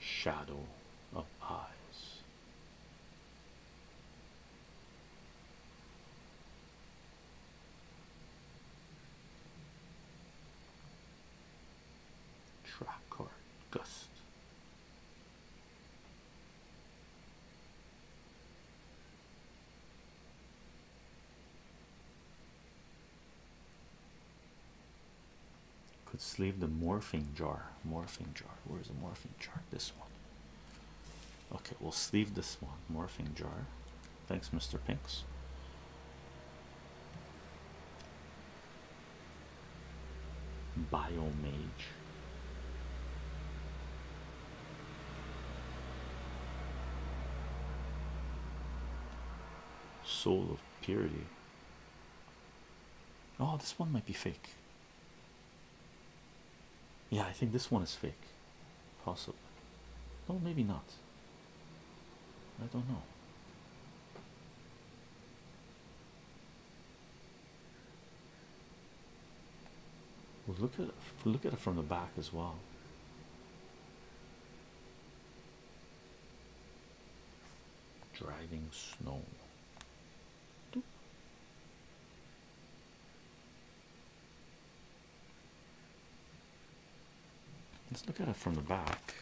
S1: shadow of eyes. Track card gust. Could sleeve the morphing jar. Morphing jar. Where's the morphing jar? This one. Okay, we'll sleeve this one. Morphing jar. Thanks, Mr. Pinks. Bio mage. Soul of purity. Oh, this one might be fake. Yeah, I think this one is fake. Possible. Oh, maybe not. I don't know. we look at look at it from the back as well driving snow. Let's look at it from the back.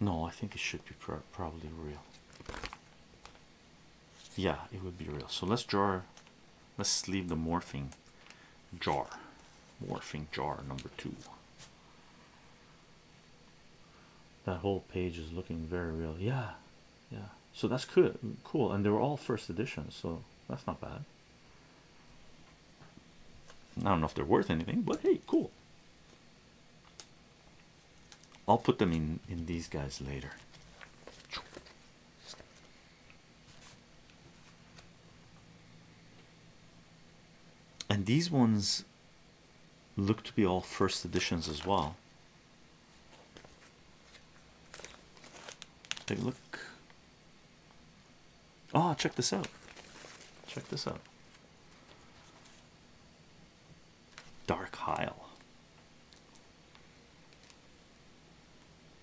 S1: No, I think it should be probably real. Yeah, it would be real. So let's draw. Let's leave the morphing jar, morphing jar number two. That whole page is looking very real. Yeah, yeah. So that's good, cool, and they were all first editions, so that's not bad. I don't know if they're worth anything, but hey, cool. I'll put them in in these guys later. And these ones look to be all first editions as well. Take a look. Oh, check this out. Check this out. Dark Isle.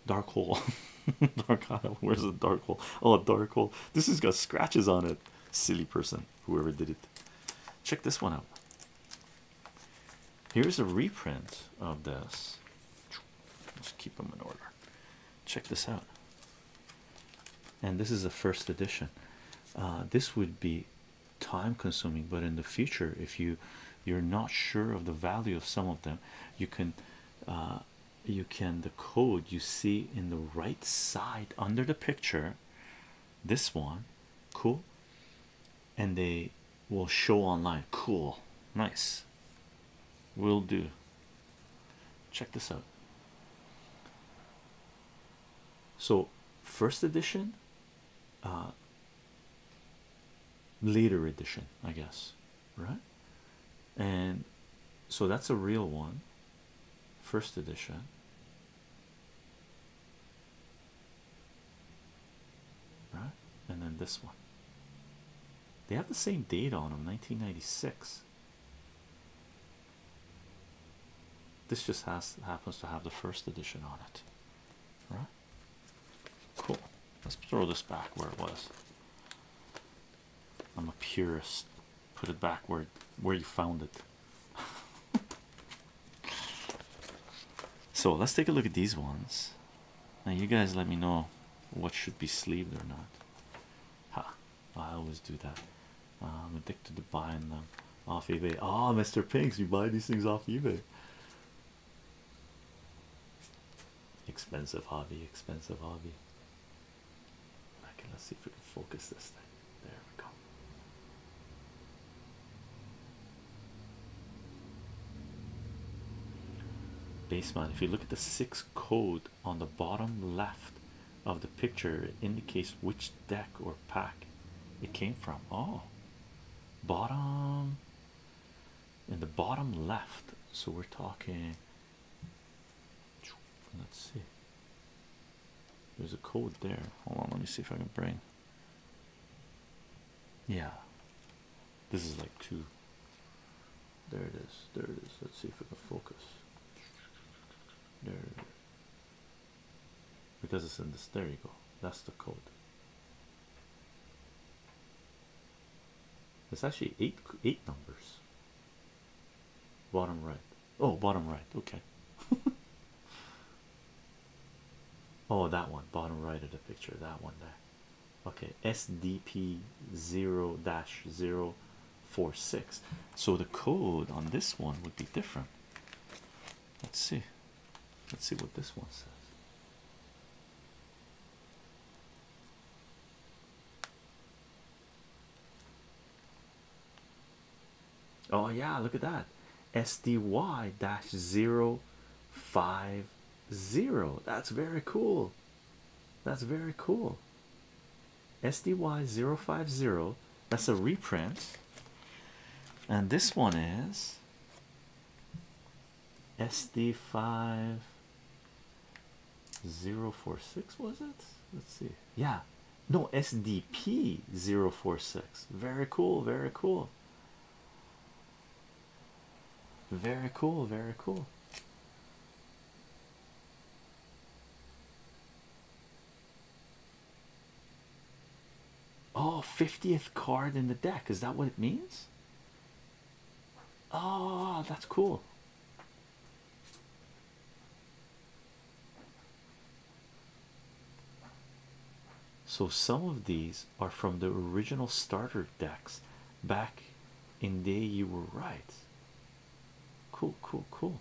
S1: Dark Hole. Oh, dark hole. Where's the dark hole? Oh, dark hole. This has got scratches on it. Silly person, whoever did it. Check this one out. Here's a reprint of this. Let's keep them in order. Check this out. And this is the first edition. Uh, this would be time consuming, but in the future, if you you're not sure of the value of some of them, you can uh, you can the code you see in the right side under the picture this one cool and they will show online cool nice will do check this out so first edition uh later edition i guess right and so that's a real one first edition right and then this one they have the same date on them 1996 this just has happens to have the first edition on it right cool let's throw this back where it was I'm a purist. Put it back where, you found it. so let's take a look at these ones. Now, you guys let me know what should be sleeved or not. Ha! I always do that. I'm addicted to buying them off eBay. Oh, ah, Mr. Pinks, you buy these things off eBay. Expensive hobby, expensive hobby. Okay, let's see if we can focus this thing. There we go. Baseman, if you look at the six code on the bottom left of the picture, it indicates which deck or pack it came from. Oh, bottom in the bottom left, so we're talking Let's see. There's a code there. Hold on, let me see if I can bring. Yeah. This is like two. There it is. There it is. Let's see if we can focus. There Because it's in this. There you go. That's the code. It's actually eight eight numbers. Bottom right. Oh, bottom right. Okay. oh, that one. Bottom right of the picture. That one there. Okay. SDP 0 046. So the code on this one would be different. Let's see. Let's see what this one says. Oh, yeah, look at that SDY dash 050. That's very cool. That's very cool. SDY050. That's a reprint. And this one is SD5 046 was it? Let's see. Yeah. No, SDP 046. Very cool, very cool. Very cool, very cool. Oh, 50th card in the deck. Is that what it means? Oh, that's cool. So some of these are from the original starter decks back in day you were right. Cool, cool, cool.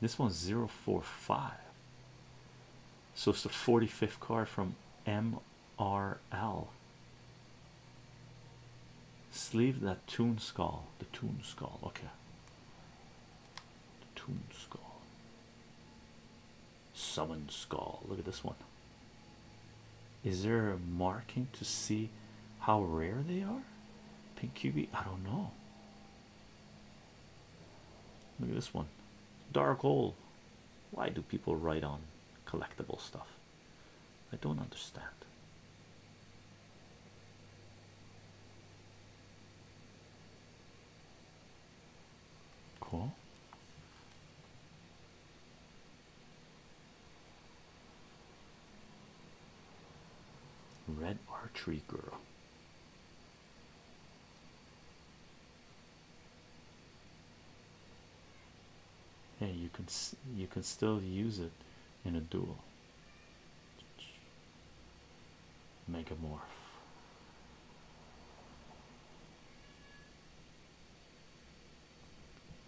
S1: This one's 045. So it's the 45th card from MRL. Sleeve that tune Skull. The tune Skull. Okay. tune Skull. Summon Skull. Look at this one. Is there a marking to see how rare they are? Pink QB, I don't know. Look at this one. Dark hole. Why do people write on collectible stuff? I don't understand. Cool. Red Archery Girl. Hey, you can you can still use it in a duel. Megamorph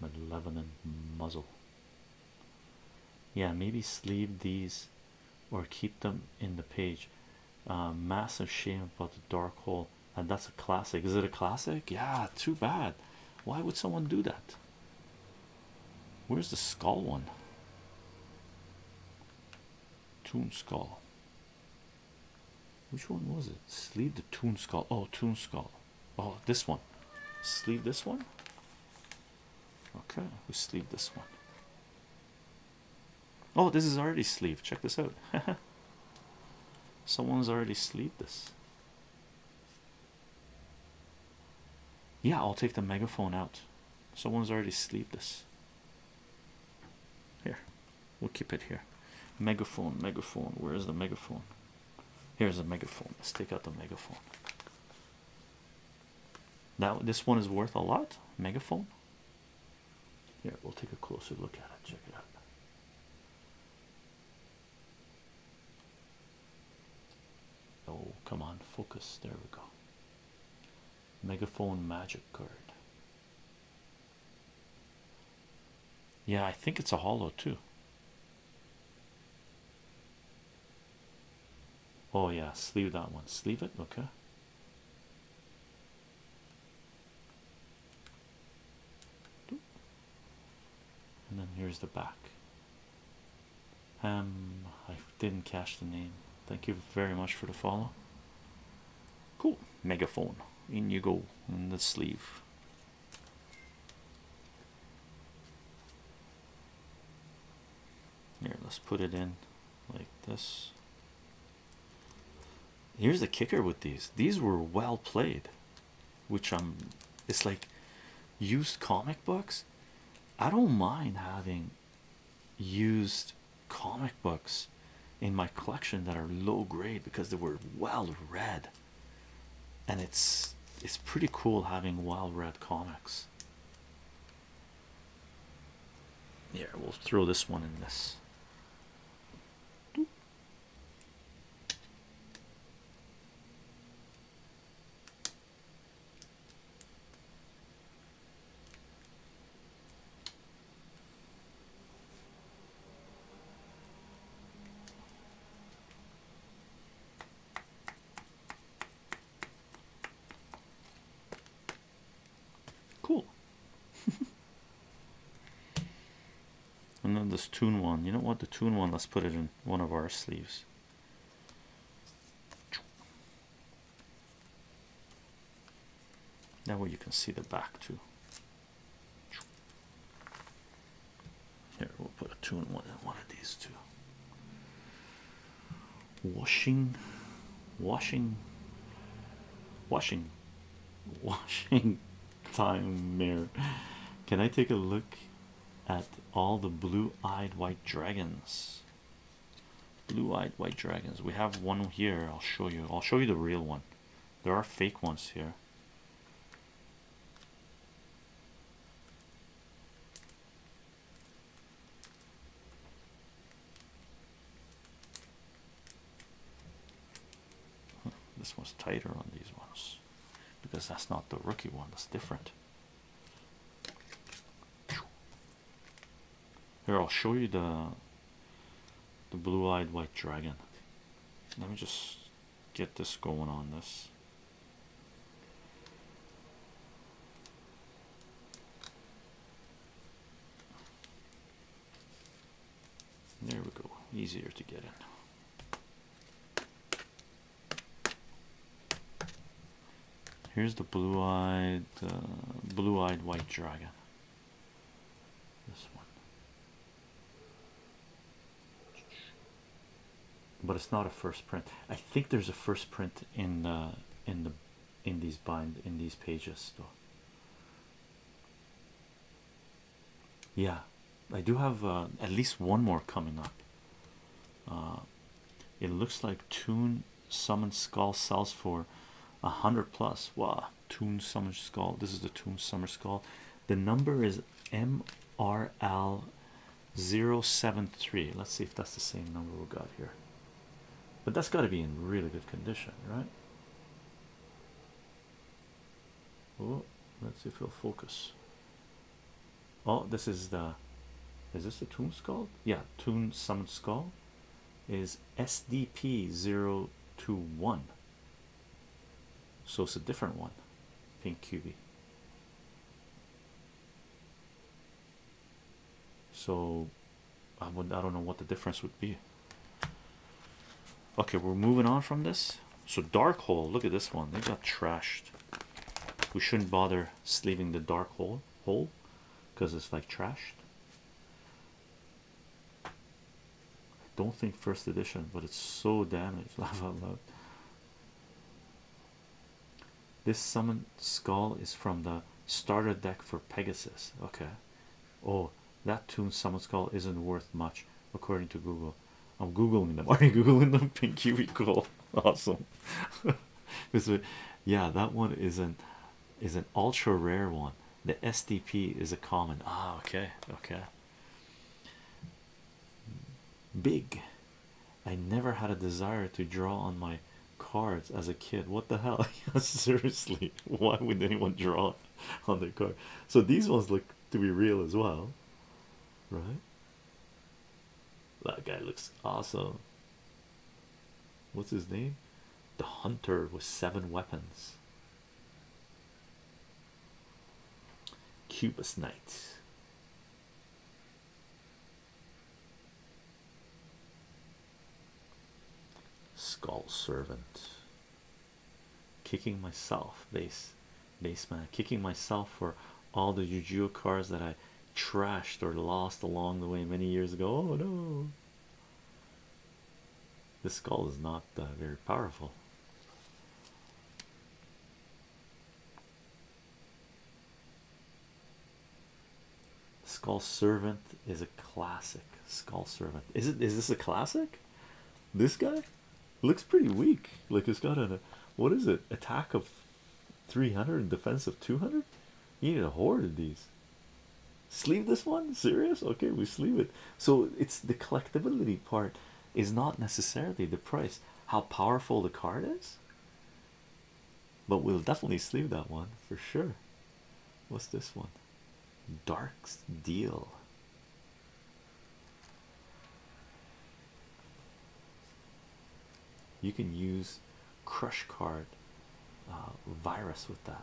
S1: malevolent muzzle. Yeah, maybe sleeve these or keep them in the page. Uh, massive shame about the dark hole, and uh, that's a classic. Is it a classic? Yeah, too bad. Why would someone do that? Where's the skull one? Tomb skull. Which one was it? Sleeve the tomb skull. Oh, tomb skull. Oh, this one. Sleeve this one. Okay, we sleeve this one. Oh, this is already sleeved. Check this out. Someone's already sleeved this. Yeah, I'll take the megaphone out. Someone's already sleeved this. Here, we'll keep it here. Megaphone, megaphone. Where is the megaphone? Here's a megaphone. Let's take out the megaphone. Now this one is worth a lot. Megaphone. Here, we'll take a closer look at it. Check it out. Oh, come on, focus. There we go. Megaphone magic card. Yeah, I think it's a hollow too. Oh, yeah, sleeve that one, sleeve it. Okay, and then here's the back. Um, I didn't catch the name. Thank you very much for the follow. Cool megaphone in you go in the sleeve. Here, let's put it in like this. Here's the kicker with these. These were well played, which I'm um, it's like used comic books. I don't mind having used comic books in my collection that are low grade because they were well read and it's it's pretty cool having Wild Red comics. Yeah, we'll throw this one in this. Cool. and then this tune one. You don't want The tune one, let's put it in one of our sleeves. That way you can see the back too. Here we'll put a two and one in one of these two. Washing, washing, washing, washing time mirror. Can I take a look at all the blue-eyed white dragons? Blue-eyed white dragons. We have one here. I'll show you. I'll show you the real one. There are fake ones here this was tighter on these ones because that's not the rookie one, that's different. Here, I'll show you the the blue-eyed white dragon. Let me just get this going on this. There we go, easier to get in. Here's the blue-eyed, uh, blue-eyed white dragon. This one but it's not a first print i think there's a first print in in the in these bind in these pages though yeah i do have uh, at least one more coming up uh, it looks like tune summon skull sells for a hundred plus wow tune Summon skull this is the tune Summon skull the number is MRL073. Let's see if that's the same number we got here. But that's got to be in really good condition, right? Oh, let's see if we'll focus. Oh, this is the is this the tomb skull? Yeah, tomb summon skull is SDP021. So it's a different one, pink QB. So I would I don't know what the difference would be. Okay, we're moving on from this. So dark hole, look at this one. They got trashed. We shouldn't bother sleeving the dark hole hole because it's like trashed. I don't think first edition, but it's so damaged. love, love. This summon skull is from the starter deck for Pegasus. Okay. Oh, that tune summon skull isn't worth much according to Google. I'm googling them. Are you googling them? Pink Kiwi cool. Awesome. yeah, that one is an is an ultra rare one. The SDP is a common. Ah, okay, okay. Big. I never had a desire to draw on my cards as a kid. What the hell? Seriously, why would anyone draw on their card? So these ones look to be real as well, right? That guy looks awesome. What's his name? The hunter with seven weapons. Cubist Knight. Skull Servant. Kicking myself, base man, Kicking myself for all the Yu-Gi-Oh cards that I trashed or lost along the way many years ago. Oh no. This skull is not uh, very powerful. Skull Servant is a classic. Skull Servant. Is it is this a classic? This guy looks pretty weak. Like it's got a what is it? Attack of 300 and defense of 200? You need a hoard of these. Sleeve this one? Serious? Okay, we sleeve it. So it's the collectability part is not necessarily the price, how powerful the card is. But we'll definitely sleeve that one for sure. What's this one? Dark's Deal. You can use Crush Card uh, Virus with that.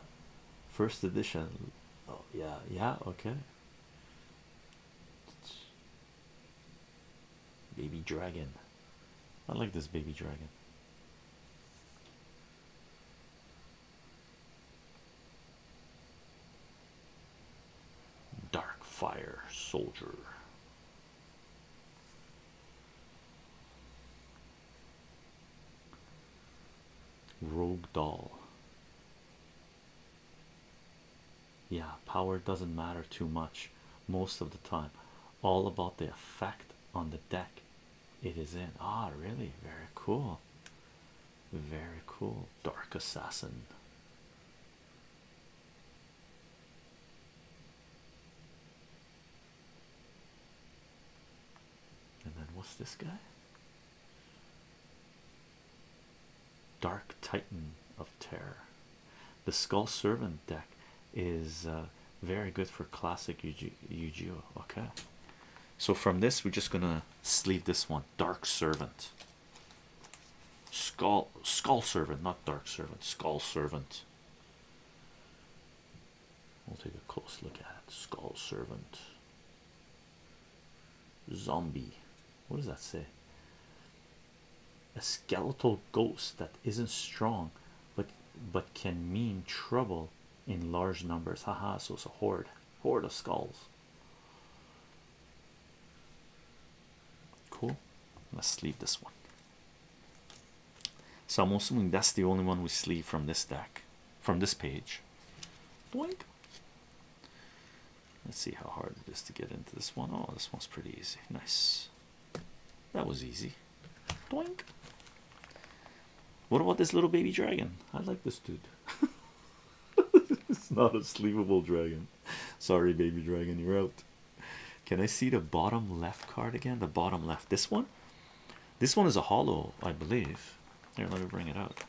S1: First edition. Oh, yeah, yeah, okay. Baby dragon. I like this baby dragon. Dark fire soldier. Rogue doll yeah power doesn't matter too much most of the time all about the effect on the deck it is in ah really very cool very cool dark assassin and then what's this guy Dark Titan of Terror. The Skull Servant deck is uh, very good for classic Yu-Gi-Oh. Okay, so from this, we're just gonna sleeve this one. Dark Servant, Skull Skull Servant, not Dark Servant. Skull Servant. We'll take a close look at it. Skull Servant. Zombie. What does that say? a skeletal ghost that isn't strong but but can mean trouble in large numbers haha so it's a horde horde of skulls cool let's leave this one so i'm assuming that's the only one we sleeve from this deck from this page Boink. Let's see how hard it is to get into this one. Oh, this one's pretty easy. Nice. That was easy. Doink.
S2: What about this little baby dragon?
S1: I like this dude. it's not a sleepable dragon. Sorry, baby dragon, you're out. Can I see the bottom left card again? The bottom left. This one? This one is a hollow, I believe. Here, let me bring it out.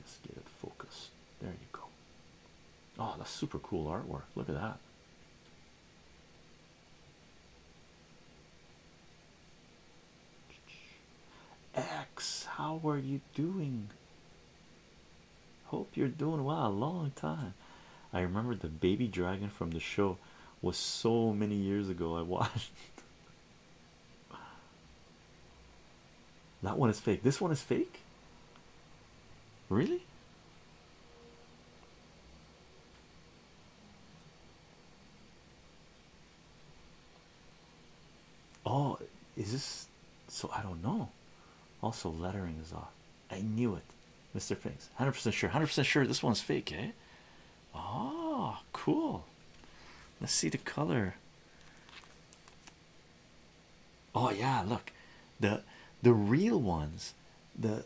S1: Let's get it focused. There you go. Oh, that's super cool artwork. Look at that. X, how are you doing? Hope you're doing well. Long time. I remember the baby dragon from the show was so many years ago. I watched that one is fake. This one is fake. Really? Oh, is this so? I don't know. Also, lettering is off. I knew it, Mr. Pinks. 100% sure, 100% sure this one's fake, eh? Oh, cool. Let's see the color. Oh, yeah, look the the real ones. The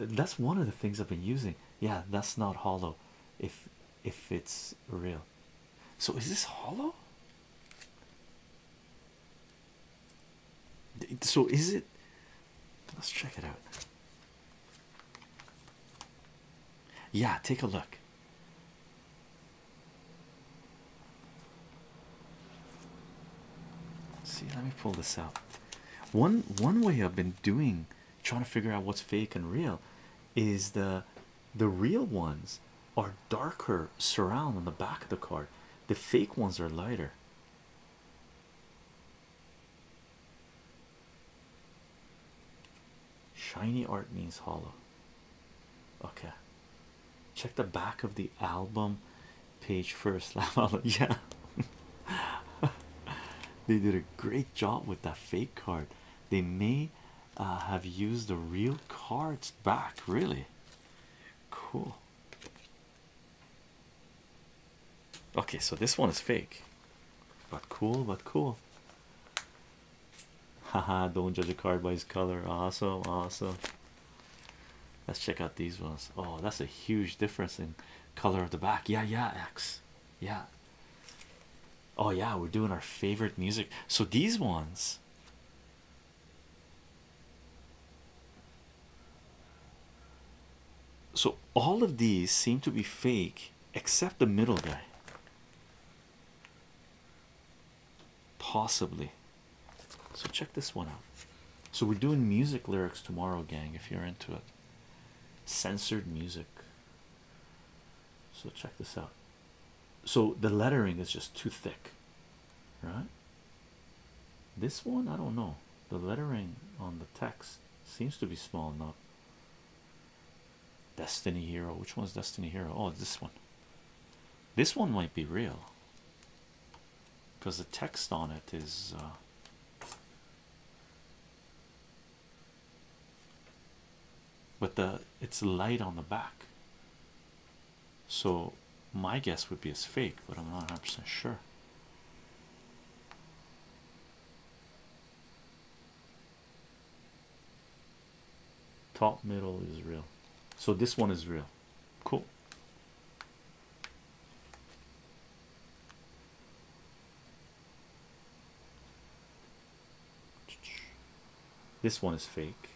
S1: that's one of the things I've been using. Yeah, that's not hollow if if it's real. So, is this hollow? So is it? Let's check it out. Yeah, take a look. See, let me pull this out. One one way I've been doing trying to figure out what's fake and real is the the real ones are darker surround on the back of the card, the fake ones are lighter. Shiny art means hollow. Okay, check the back of the album page first. yeah, they did a great job with that fake card. They may uh, have used the real cards back, really cool. Okay, so this one is fake, but cool, but cool. Haha, don't judge a card by its color. Awesome, awesome. Let's check out these ones. Oh, that's a huge difference in color of the back. Yeah, yeah, X. Yeah. Oh, yeah, we're doing our favorite music. So these ones so all of these seem to be fake except the middle guy. Possibly. So check this one out. So we're doing music lyrics tomorrow, gang, if you're into it. Censored music. So check this out. So the lettering is just too thick right? This one, I don't know. The lettering on the text seems to be small enough. Destiny Hero, which one's Destiny Hero? Oh, this one. This one might be real because the text on it is. Uh, but the it's light on the back so my guess would be it's fake, but I'm not 100% sure. Top middle is real. So this one is real. Cool. This one is fake.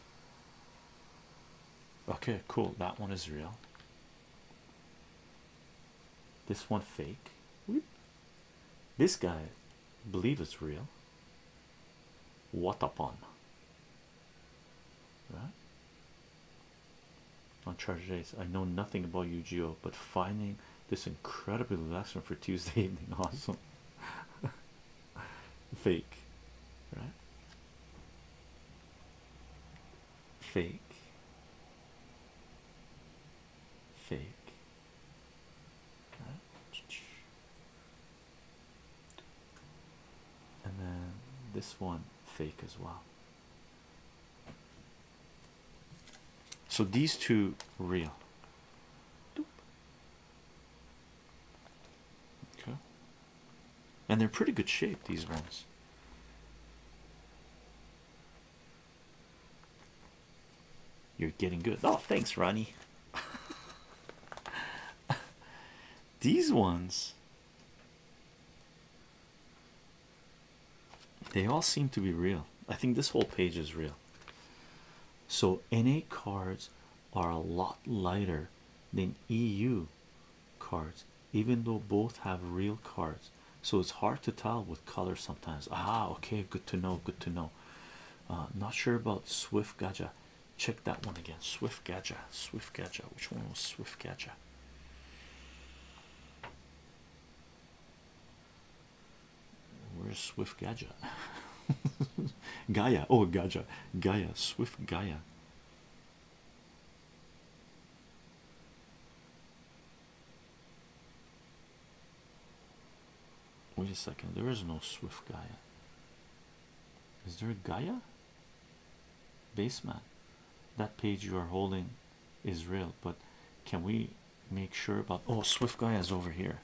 S1: Okay, cool. That one is real. This one fake. This guy believe it's real. What upon? Right? On charge days, I know nothing about Yu-Gi-Oh, but finding this incredible lesson for Tuesday evening, awesome. Fake, right? fake, fake. And then this one fake as well. So these two real. Okay and they're pretty good shape these ones you're getting good oh thanks ronnie these ones they all seem to be real i think this whole page is real so na cards are a lot lighter than eu cards even though both have real cards so it's hard to tell with color sometimes ah okay good to know good to know uh, not sure about swift gaja check that one again swift gaja swift gaja which one was swift gaja where's swift gaja gaia oh gaja gaia swift gaia Wait a second, there is no Swift Gaia. Is there a Gaia? Baseman. That page you are holding is real, but can we make sure about oh Swift Gaia is over here?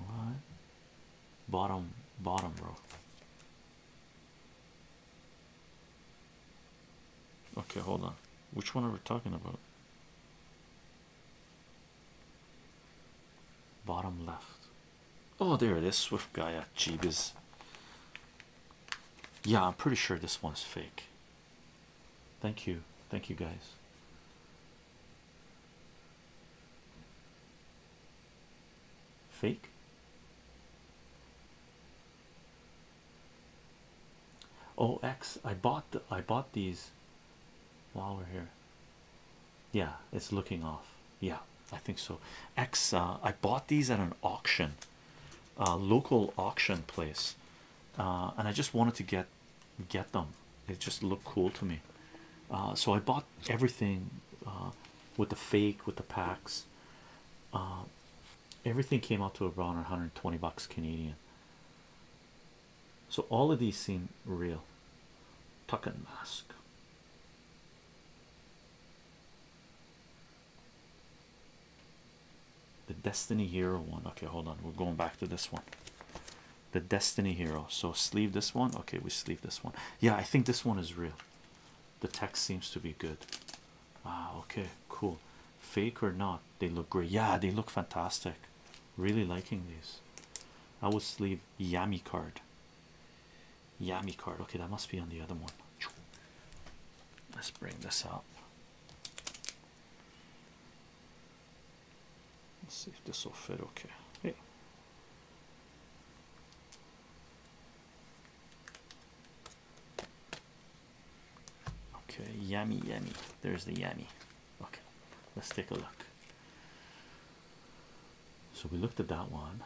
S1: Right. Bottom, bottom bro. Okay, hold on. Which one are we talking about? Bottom left. Oh, there it is. Swift guy at Jeebus. Yeah, I'm pretty sure this one's fake. Thank you. Thank you, guys fake oh X I bought I bought these while we're here yeah it's looking off yeah I think so X uh, I bought these at an auction uh, local auction place uh, and I just wanted to get get them it just looked cool to me uh, so I bought everything uh, with the fake with the packs uh, everything came out to around 120 bucks Canadian so all of these seem real tuck and mask the Destiny Hero one okay hold on we're going back to this one the Destiny Hero. So sleeve this one. Okay, we sleeve this one. Yeah, I think this one is real. The text seems to be good. Ah, okay, cool. Fake or not, they look great. Yeah, they look fantastic. Really liking these. I will sleeve Yami card. Yami card. Okay, that must be on the other one. Let's bring this up. Let's see if this will fit okay. Okay, yummy, yummy. There's the yummy. Okay, let's take a look. So we looked at that one.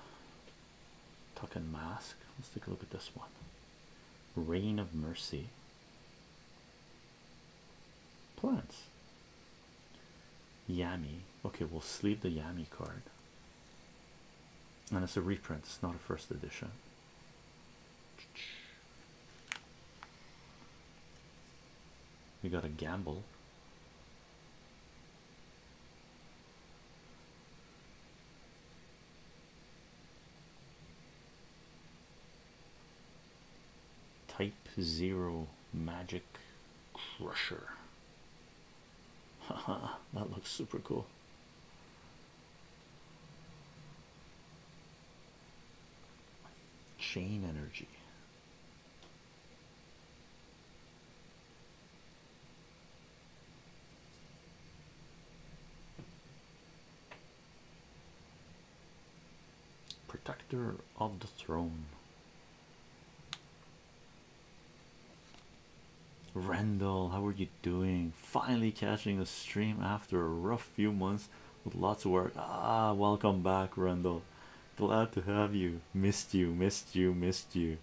S1: Tucking mask. Let's take a look at this one. Reign of Mercy plants. Yami. Okay, we'll sleep the Yami card. And it's a reprint, it's not a first edition. We got a gamble. Type Zero Magic Crusher. Haha, that looks super cool. Chain Energy. Protector of the Throne. Rendell, how are you doing? Finally catching a stream after a rough few months with lots of work. Ah, welcome back, Rendell. Glad to have you. Missed you, missed you, missed you.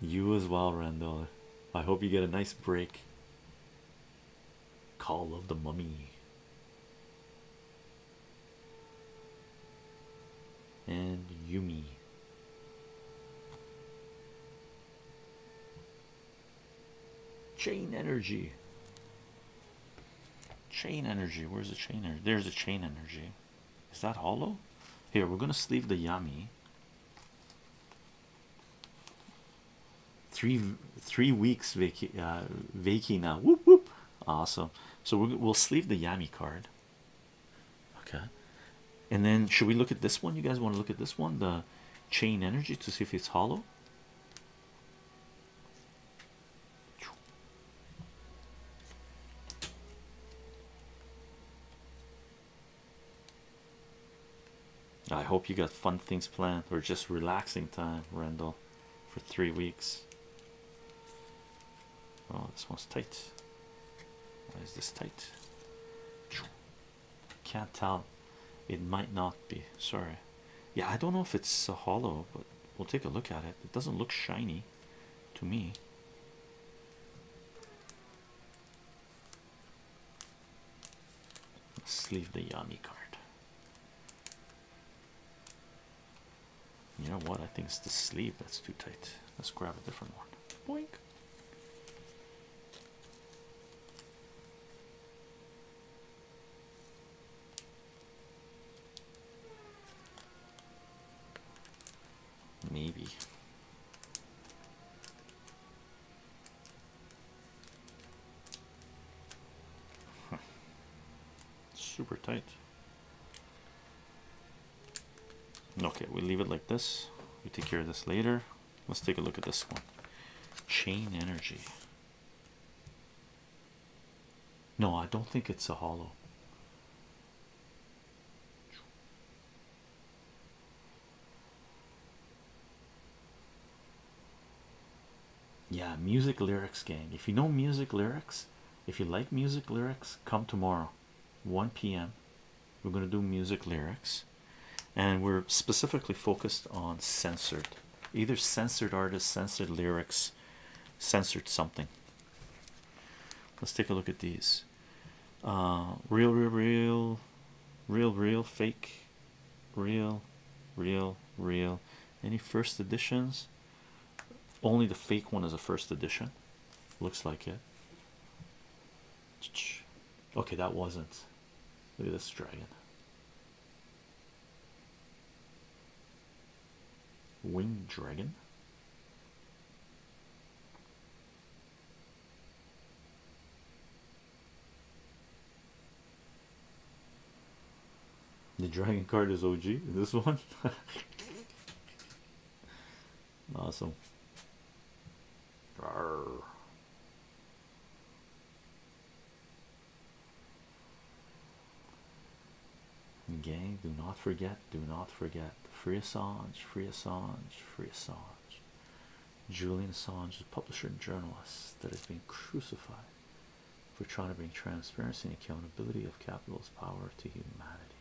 S1: You as well, Rendell. I hope you get a nice break. Call of the Mummy. And Yumi. Chain energy. Chain energy. Where's the chain energy? There's a chain energy. Is that hollow? Here, we're going to sleeve the Yami three three weeks vaci uh, vacay now whoop whoop awesome so we'll, we'll sleeve the yami card okay and then should we look at this one you guys want to look at this one the chain energy to see if it's hollow I hope you got fun things planned or just relaxing time, Randall for three weeks. Oh, this one's tight. Why is this tight? Can't tell. It might not be. Sorry. Yeah, I don't know if it's a hollow, but we'll take a look at it. It doesn't look shiny to me. Let's leave the Yami card. You know what? I think it's the sleeve that's too tight. Let's grab a different one. Boink. Maybe. Huh. Super tight. Okay, we leave it like this. We take care of this later. Let's take a look at this one. Chain energy. No, I don't think it's a hollow yeah music lyrics gang if you know music lyrics if you like music lyrics come tomorrow 1 p.m we're going to do music lyrics and we're specifically focused on censored either censored artists censored lyrics censored something let's take a look at these uh, real real real real real fake real real real any first editions only the fake one is a first edition looks like it okay that wasn't look at this dragon winged dragon the dragon card is OG this one. awesome. Gang, do not forget, do not forget. Free Assange, free Assange, free Assange. Julian Assange, a publisher and journalist that has been crucified for trying to bring transparency and accountability of capital's power to humanity.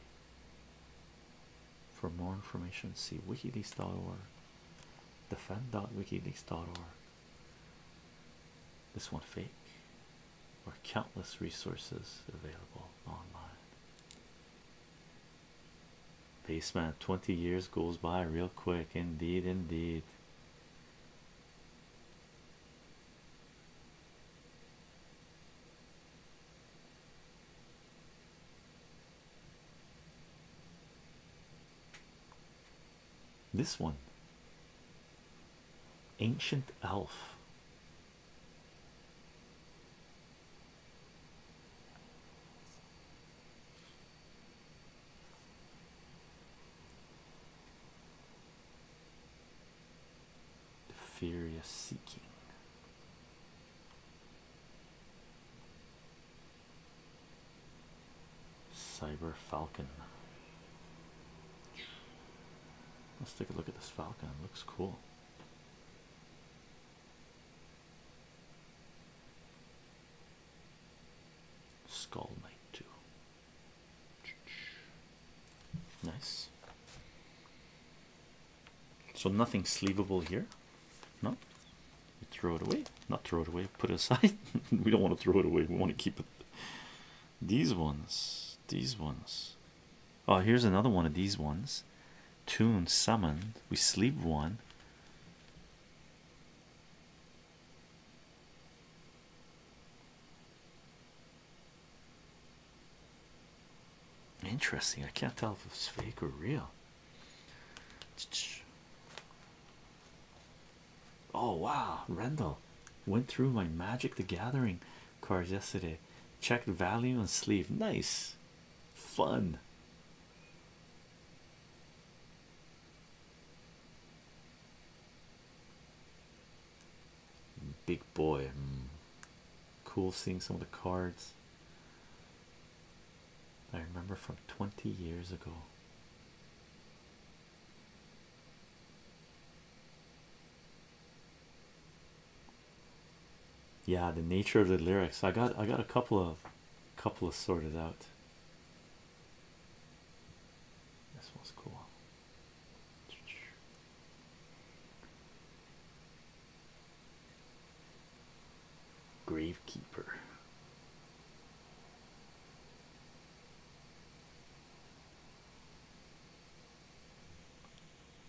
S1: For more information, see wikileaks.org, defend.wikileaks.org. This one fake, or countless resources available online. Basement 20 years goes by real quick, indeed, indeed. This one Ancient Elf. The furious seeking. Cyber Falcon. Let's take a look at this Falcon. It looks cool. Skull Knight 2. Nice. So nothing sleevable here. No, throw it away. Not throw it away. Put it aside. we don't want to throw it away. We want to keep it. These ones. These ones. Oh, here's another one of these ones. Tune summoned. We sleep one. Interesting. I can't tell if it's fake or real. Oh wow, Rendell went through my Magic the Gathering cards yesterday. Checked value and sleeve. Nice, fun. Big boy. Hmm. Cool seeing some of the cards I remember from 20 years ago. Yeah, the nature of the lyrics. I got I got a couple of couple of sorted out. This one's cool. Gravekeeper.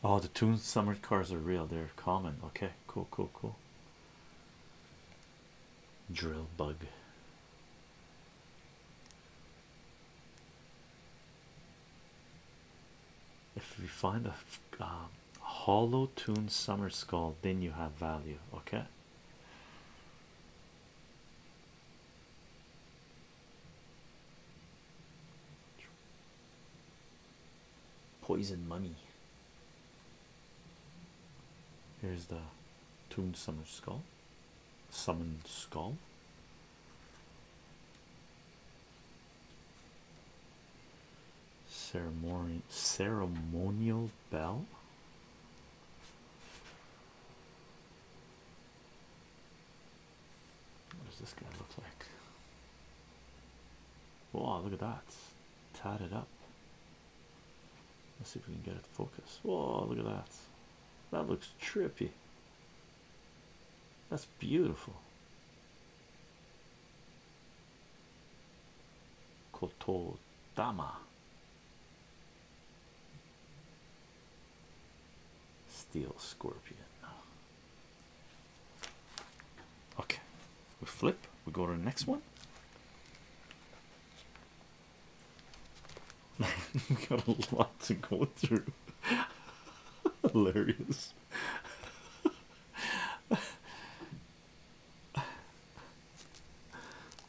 S1: Oh, the tomb Summer cars are real. They're common. Okay, cool, cool, cool. Drill bug. If we find a um, hollow tuned summer skull, then you have value, okay. Poison mummy. Here's the tuned summer skull. Summon skull. Ceremonial ceremonial bell. What does this guy look like? Wow, look at that. Tied it up. Let's see if we can get it focused. Whoa, look at that. That looks trippy. That's beautiful. Kotodama. Steel Scorpion. Okay, we flip, we go to the next one we got a lot to go through. Hilarious. Look at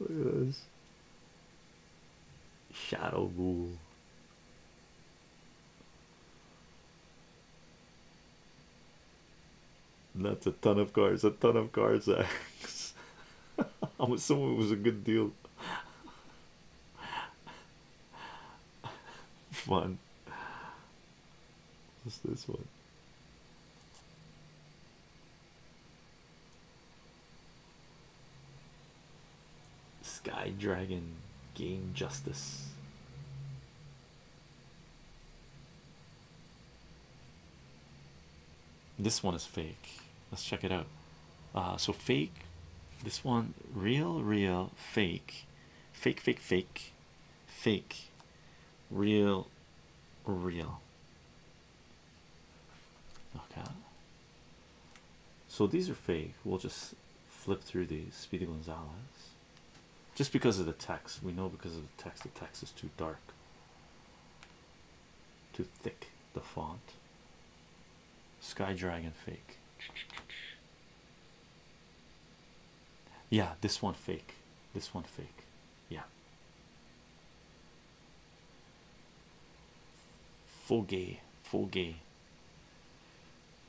S1: this. Shadow rule. That's a ton of cards, a ton of cards. I'm assuming it was a good deal. Fun. What's this one? Sky Dragon Game Justice. This one is fake. Let's check it out. Uh, so fake. This one real, real, fake, fake, fake, fake, fake, real, real. Okay. So these are fake. We'll just flip through these. Speedy Gonzales, Just because of the text, we know because of the text. The text is too dark, too thick. The font. Sky Dragon fake. Yeah, this one fake. This one fake. Yeah. Foggy, foggy.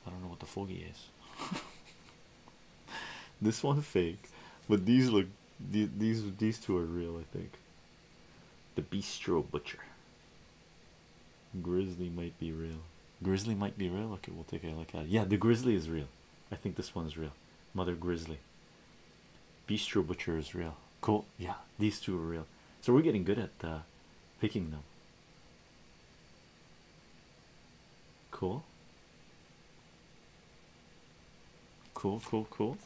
S1: I don't know what the foggy is. this one fake, but these look these these two are real. I think. The Bistro Butcher. Grizzly might be real. Grizzly might be real. Okay, we'll take a look at it. Yeah, the grizzly is real. I think this one is real. Mother Grizzly. Bistro Butcher is real. Cool. Yeah, these two are real. So we're getting good at uh, picking them. Cool. Cool, cool, cool.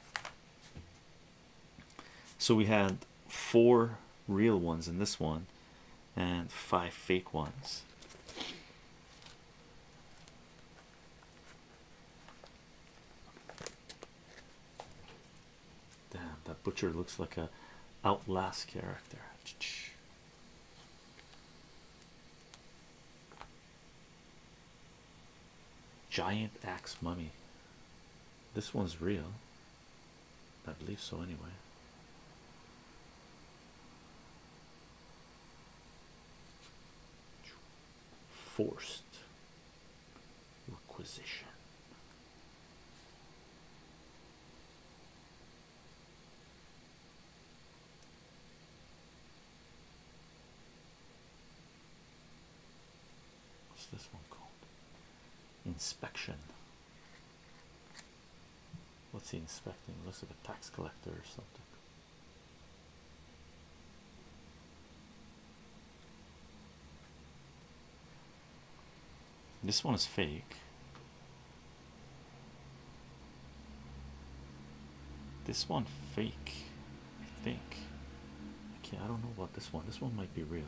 S1: So we had four real ones in this one and five fake ones. Damn, that butcher looks like a Outlast character. Giant axe mummy. This one's real. I believe so, anyway. Forced requisition what's this one called? Inspection. What's he inspecting? Looks like a tax collector or something. This one is fake. This one fake, I think. Okay, I don't know about this one. This one might be real.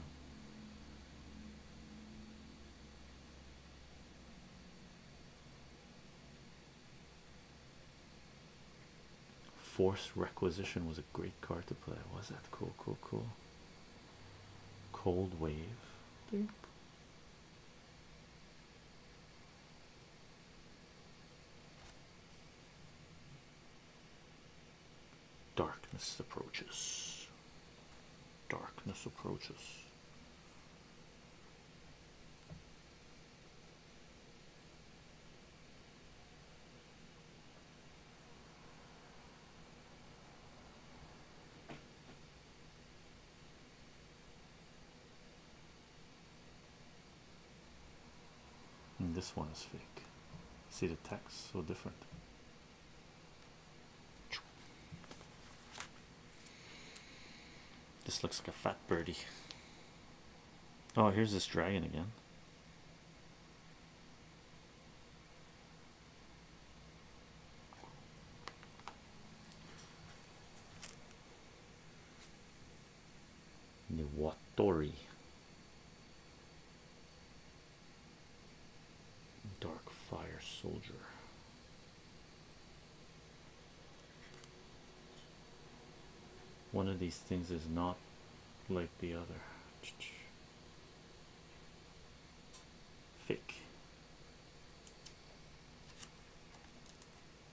S1: Force Requisition was a great card to play. Was that cool? Cool, cool. Cold Wave. Darkness approaches. Darkness approaches. And hmm, this one is fake. See the text so different. This looks like a fat birdie. Oh, here's this dragon again. Niwatori. Dark Fire Soldier. One of these things is not like the other. Fake.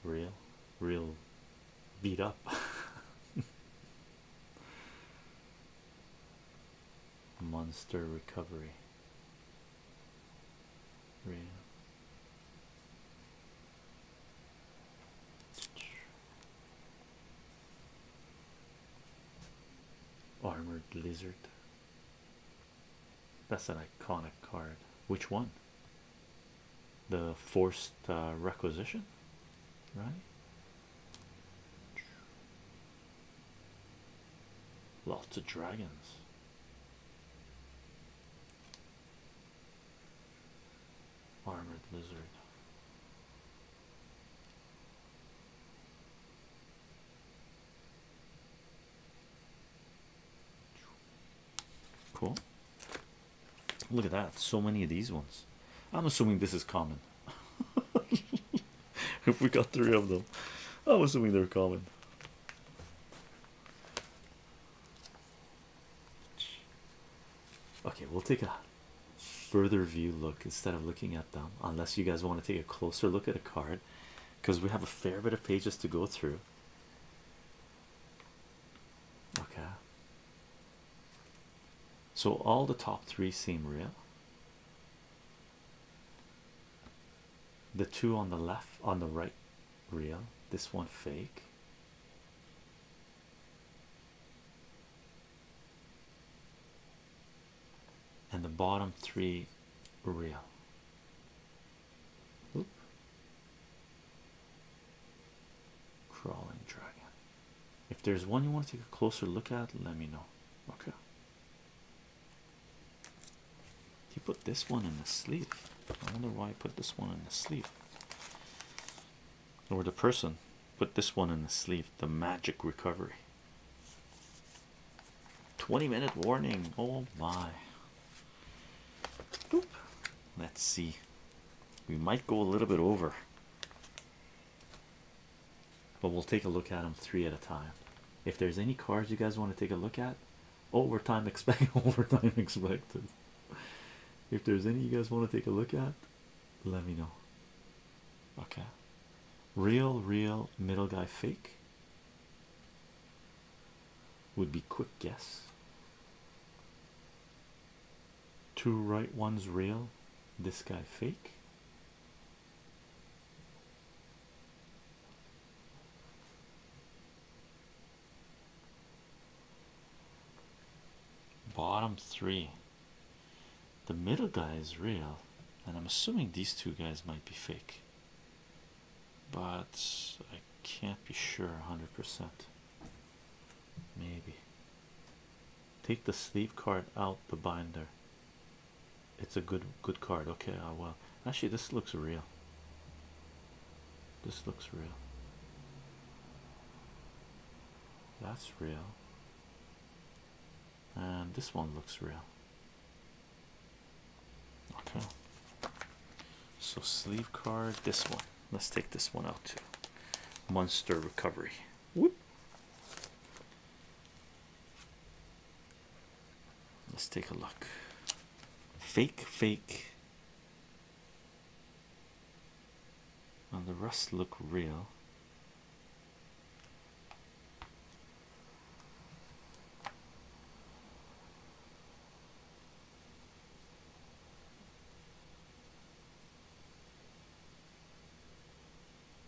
S1: Real. Real beat up. monster recovery yeah. Armored lizard. That's an iconic card. Which one? The forced uh, requisition, right? Lots of dragons. Armored lizard. Cool. Look at that. So many of these ones. I'm assuming this is common. if we got three of them, I was assuming they're common. Okay, we'll take a further view look instead of looking at them, unless you guys want to take a closer look at a card because we have a fair bit of pages to go through. Okay, so all the top three seem real. The two on the left, on the right, real. This one fake. And the bottom three real. Oop. Crawling dragon. If there's one you want to take a closer look at, let me know. Okay. You put this one in the sleeve. I wonder why he put this one in the sleeve. Or the person put this one in the sleeve. The magic recovery. 20 minute warning. Oh my. Let's see. We might go a little bit over but we'll take a look at them three at a time. If there's any cards you guys want to take a look at, overtime expect overtime expected. If there's any you guys want to take a look at, let me know. Okay, real, real middle guy fake would be quick guess. Two right ones real, this guy fake bottom three the middle guy is real and i'm assuming these two guys might be fake but i can't be sure 100% maybe take the sleeve card out the binder it's a good good card okay oh, well actually this looks real this looks real that's real and this one looks real okay so sleeve card this one let's take this one out too monster recovery Whoop. Let's take a look. Fake, fake. And the rest look real.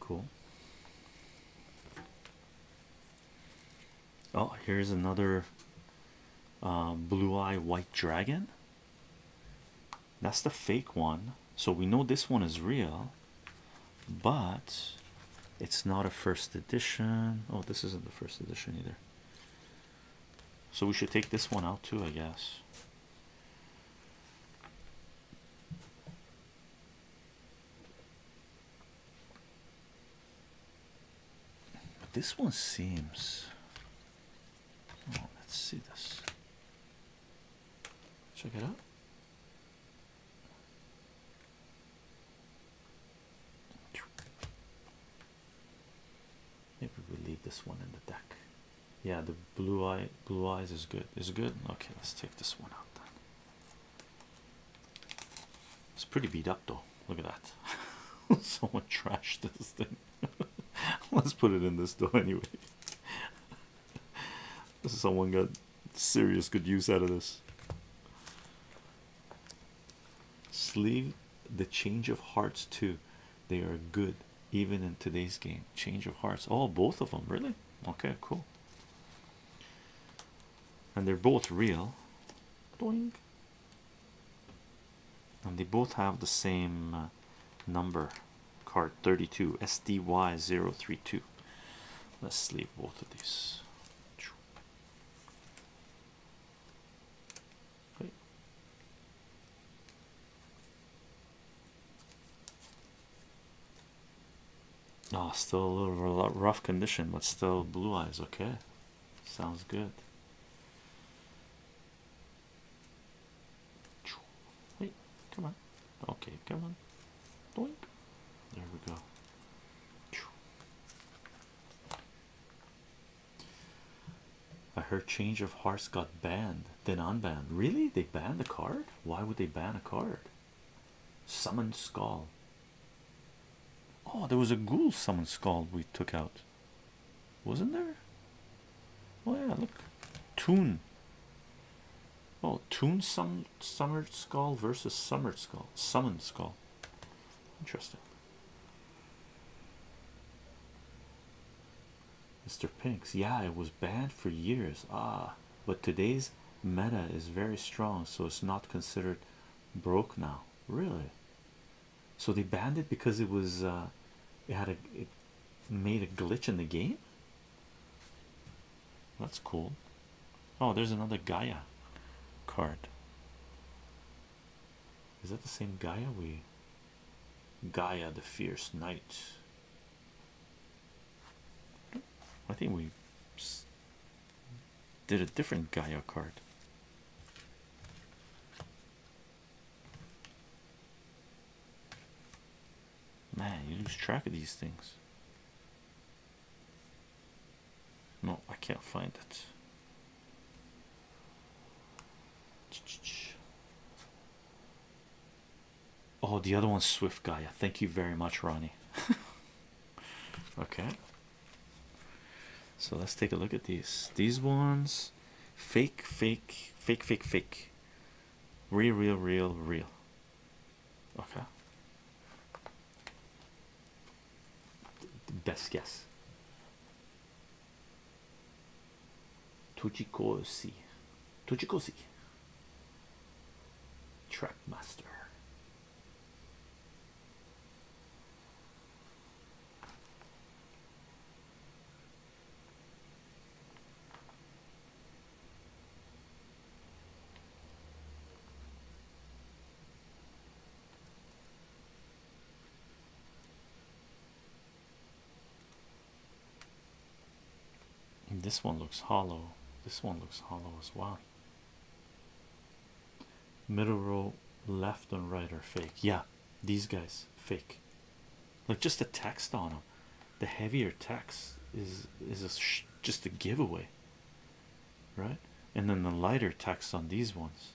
S1: Cool. Oh, here's another um, blue eye white dragon. That's the fake one. So we know this one is real, but it's not a first edition. Oh, this isn't the first edition either. So we should take this one out too, I guess. But this one seems. Oh, let's see this. Check it out. Maybe we'll leave this one in the deck. Yeah, the blue eye blue eyes is good. Is good? Okay, let's take this one out then. It's pretty beat up though. Look at that. Someone trashed this thing. Let's put it in this though anyway. Someone got serious good use out of this. Sleeve the change of hearts too. They are good even in today's game. Change of hearts. Oh, both of them, really? Okay, cool and they're both real and they both have the same uh, number card 32 SDY032 let's sleeve both of these no, ah, still a little rough condition, but still blue eyes. Okay, sounds good. Wait, come on. Okay, come on. There we go. I heard Change of Hearts got banned, then unbanned. Really? They banned the card? Why would they ban a card? Summoned skull. Oh, there was a ghoul summoned skull we took out, wasn't there? Oh yeah, look, Toon. Oh, Toon Sum Summered Skull versus Summered Skull, Summoned Skull. Interesting. Mr. Pinks, yeah, it was banned for years. Ah, but today's meta is very strong so it's not considered broke now really so they banned it because it was uh it had a it made a glitch in the game that's cool oh there's another gaia card is that the same gaia we gaia the fierce knight I think we did a different Gaia card. Man, you lose track of these things. No, I can't find it. Oh, the other one's Swift Gaia. Thank you very much, Ronnie. okay, so let's take a look at these. These ones fake, fake, fake, fake, fake, real, real, real, real. Okay, best guess. Tuchikosi, Tuchikosi, Trackmaster. This one looks hollow. This one looks hollow as well middle row left and right are fake yeah these guys fake like just the text on them the heavier text is is just a giveaway right and then the lighter text on these ones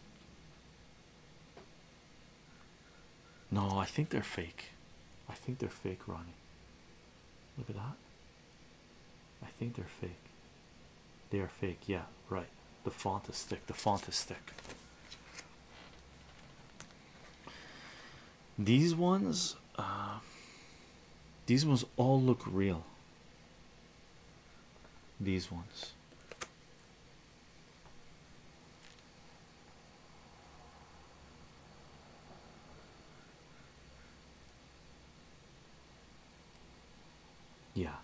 S1: no i think they're fake i think they're fake ronnie look at that I think they're fake. They are fake, yeah, right. The font is thick, the font is thick. These ones, uh, these ones all look real. These ones. Yeah.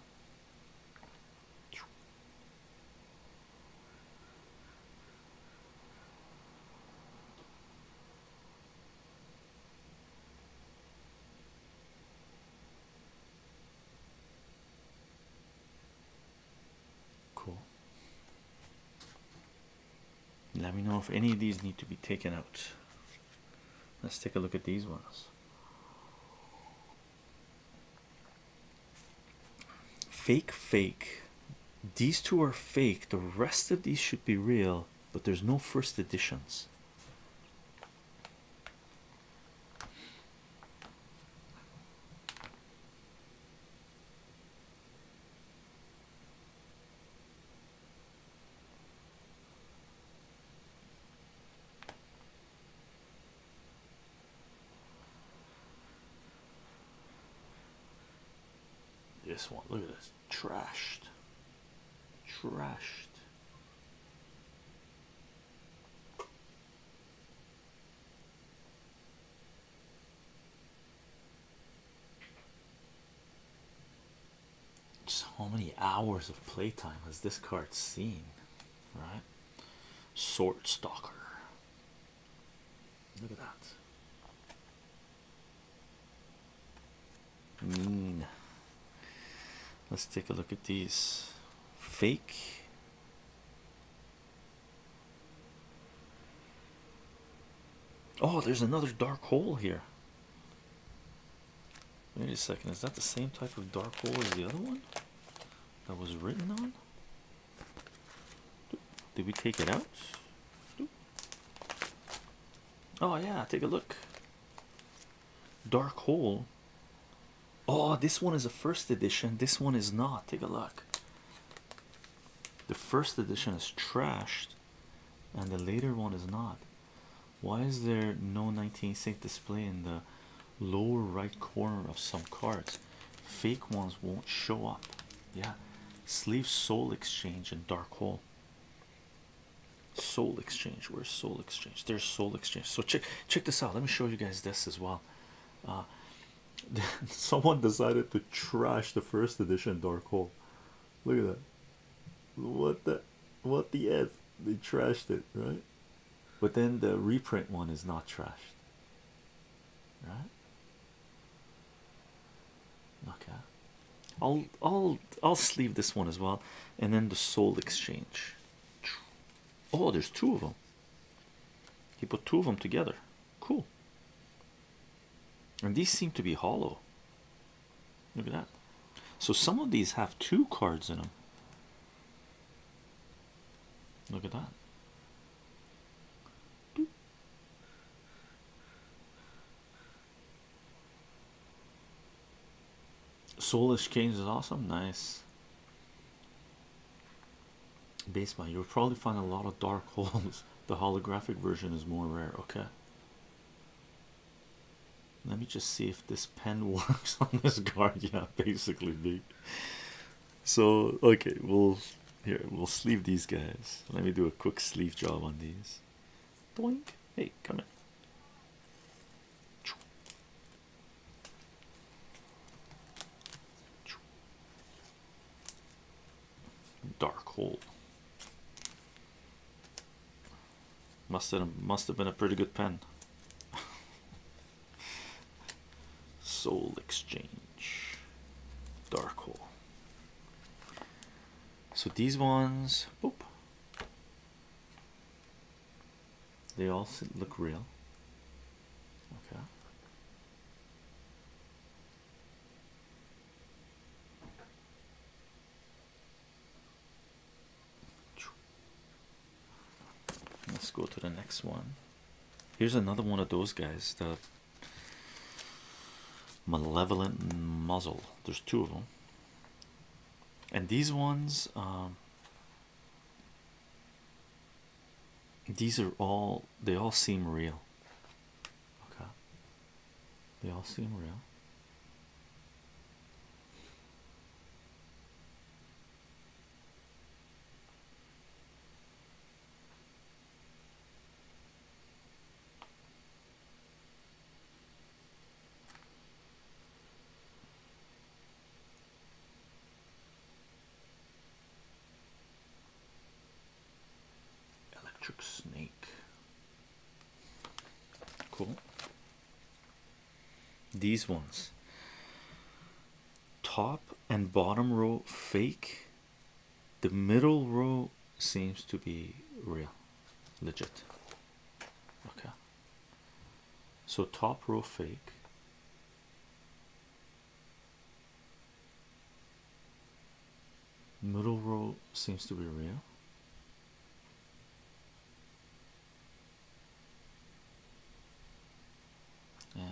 S1: Cool. Let me know if any of these need to be taken out. Let's take a look at these ones. Fake, fake. These two are fake. The rest of these should be real, but there's no first editions. This one, look at this, trashed, trashed. Just how many hours of playtime has this card seen? Right? Sword Stalker. Look at that. Mean. Let's take a look at these. Fake. Oh, there's another dark hole here. Wait a second, is that the same type of dark hole as the other one that was written on? Did we take it out? Oh yeah, take a look. Dark hole. Oh, this one is a first edition. This one is not. Take a look. The first edition is trashed, and the later one is not. Why is there no 19 sync display in the lower right corner of some cards? Fake ones won't show up. Yeah, sleeve soul exchange and dark hole. Soul exchange. Where soul exchange? There's soul exchange. So check check this out. Let me show you guys this as well. Uh, someone decided to trash the first edition dark hole. Look at that. What the what the f? They trashed it, right? But then the reprint one is not trashed. Right? Okay. I'll I'll I'll sleeve this one as well. And then the soul exchange. Oh, there's two of them. He put two of them together. Cool. And these seem to be hollow. Look at that. So some of these have two cards in them. Look at that. Doop. Soul is awesome. Nice. Basement, you'll probably find a lot of dark holes. The holographic version is more rare. Okay. Let me just see if this pen works on this guard. Yeah, basically, big. So, okay, we'll here we'll sleeve these guys. Let me do a quick sleeve job on these. Doink. Hey, come in. Dark hole. Must have must have been a pretty good pen. Soul exchange, dark hole. So these ones, They all look real. Okay. Let's go to the next one. Here's another one of those guys, the malevolent muzzle. There's two of them, and these ones, um, these are all they all seem real. Okay, they all seem real. Electric Snake. Cool. These ones top and bottom row fake, the middle row seems to be real, legit. Okay, so top row fake. Middle row seems to be real and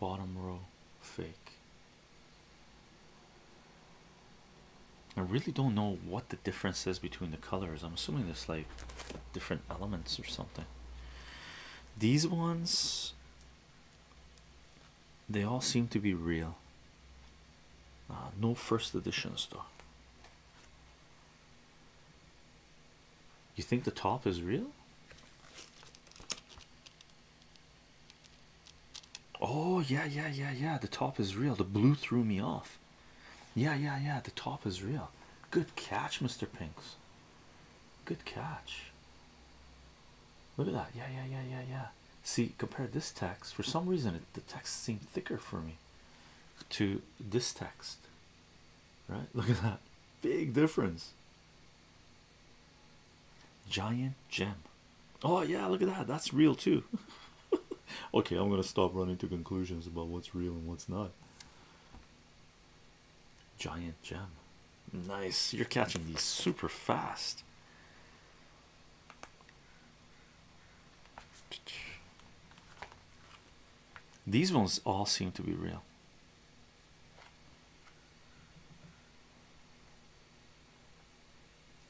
S1: bottom row fake. I really don't know what the difference is between the colors. I'm assuming there's like different elements or something. These ones, they all seem to be real. Uh, no first edition though. You think the top is real? Oh, yeah, yeah, yeah, yeah. The top is real. The blue threw me off. Yeah, yeah, yeah. The top is real. Good catch, Mr. Pinks. Good catch. Look at that. Yeah, yeah, yeah, yeah, yeah. See, compare this text. For some reason, the text seemed thicker for me to this text right look at that big difference giant gem oh yeah look at that that's real too okay i'm gonna stop running to conclusions about what's real and what's not giant gem nice you're catching these super fast these ones all seem to be real.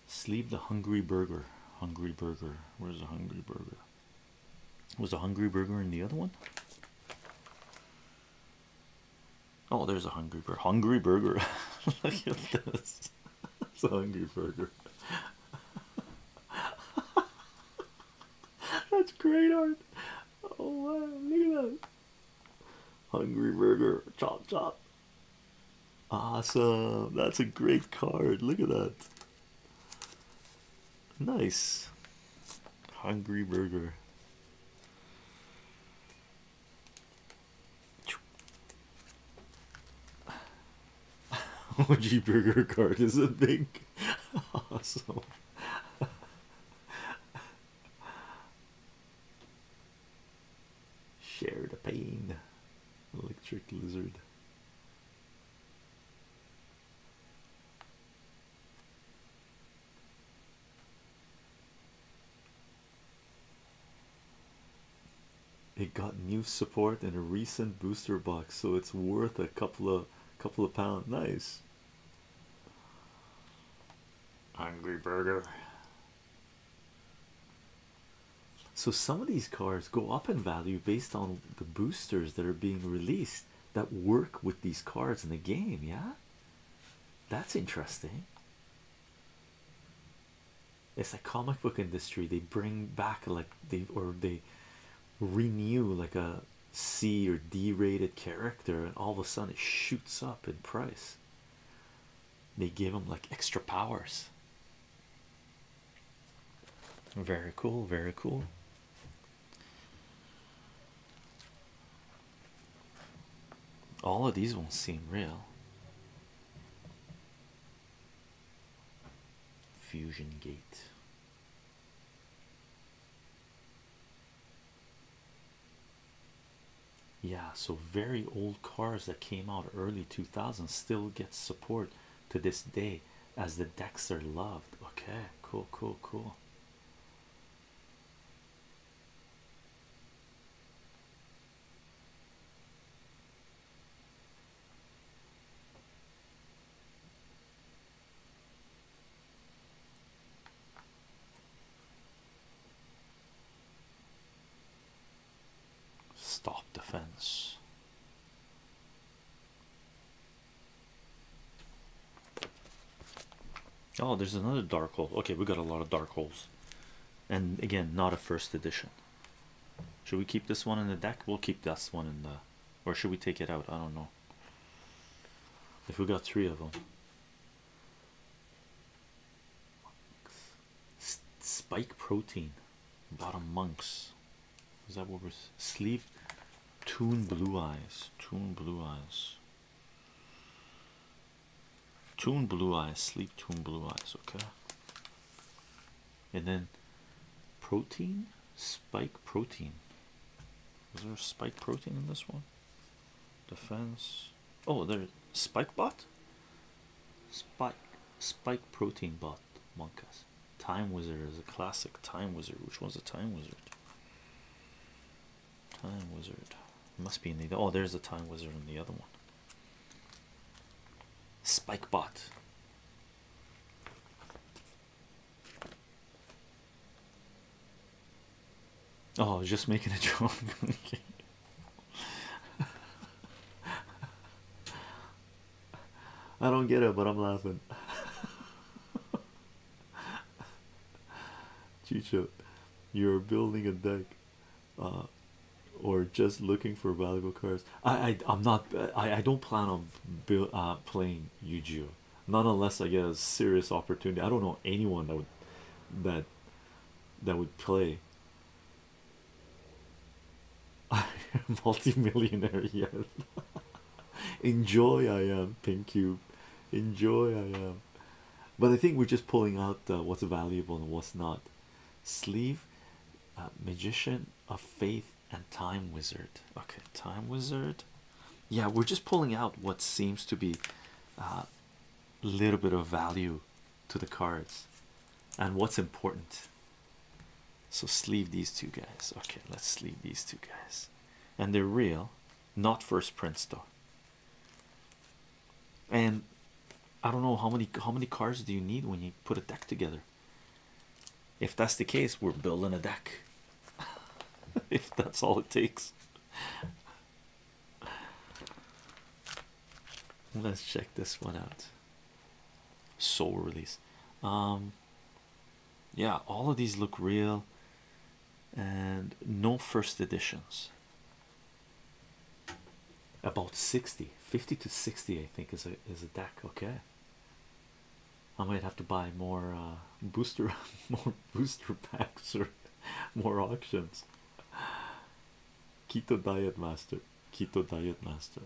S1: Sleep the Hungry Burger. Hungry Burger. Where's the Hungry Burger? Was the Hungry Burger in the other one? Oh, there's a Hungry Burger. Hungry Burger. Look at this. It's a Hungry Burger. That's great art. Oh wow, look at that. Hungry burger, chop chop. Awesome. That's a great card. Look at that. Nice. Hungry burger. OG burger card is a big awesome. Share the pain, electric lizard it got new support in a recent booster box, so it's worth a couple of couple of pound. Nice. Hungry burger. So some of these cards go up in value based on the boosters that are being released that work with these cards in the game. Yeah, that's interesting it's like comic book industry they bring back like they or they renew like a c or d rated character and all of a sudden it shoots up in price they give them like extra powers very cool very cool all of these won't seem real Fusion Gate. Yeah, so very old cars that came out early 2000 still get support to this day as the decks loved. Okay, cool, cool, cool. Stop defense. Oh, there's another dark hole. Okay, we got a lot of dark holes, and again, not a first edition. Should we keep this one in the deck? We'll keep this one in the, or should we take it out? I don't know. If we got three of them, spike protein, bottom monks. Is that what we're sleeve? Tune blue eyes, tune blue eyes, tune blue eyes, sleep tune blue eyes. Okay and then protein spike protein is there a spike protein in this one defense oh there spike bot spike spike protein bot monkas time wizard is a classic time wizard which one's a time wizard time wizard must be in the oh there's a time wizard in the other one spike bot Oh, I was just making a joke. I don't get it, but I'm laughing. Chicho, you're building a deck uh, or just looking for valuable cards. I, I am not I, I don't plan on uh, playing yu gi not unless I get a serious opportunity I don't know anyone that would that that would play multi-millionaire yet enjoy I am pink cube enjoy I am but I think we're just pulling out uh, what's valuable and what's not sleeve uh, magician of faith and time wizard. Okay, time wizard. Yeah, we're just pulling out what seems to be a uh, little bit of value to the cards and what's important. So, sleeve these two guys. Okay, let's sleeve these two guys. And they're real, not first prints though. And I don't know how many how many cards do you need when you put a deck together? If that's the case, we're building a deck. if that's all it takes. Let's check this one out. Soul release. Um, yeah, all of these look real and no first editions. About 60, 50 to 60, I think is a is a deck, okay. I might have to buy more uh, booster, more booster packs, or more auctions. Keto diet master, keto diet master.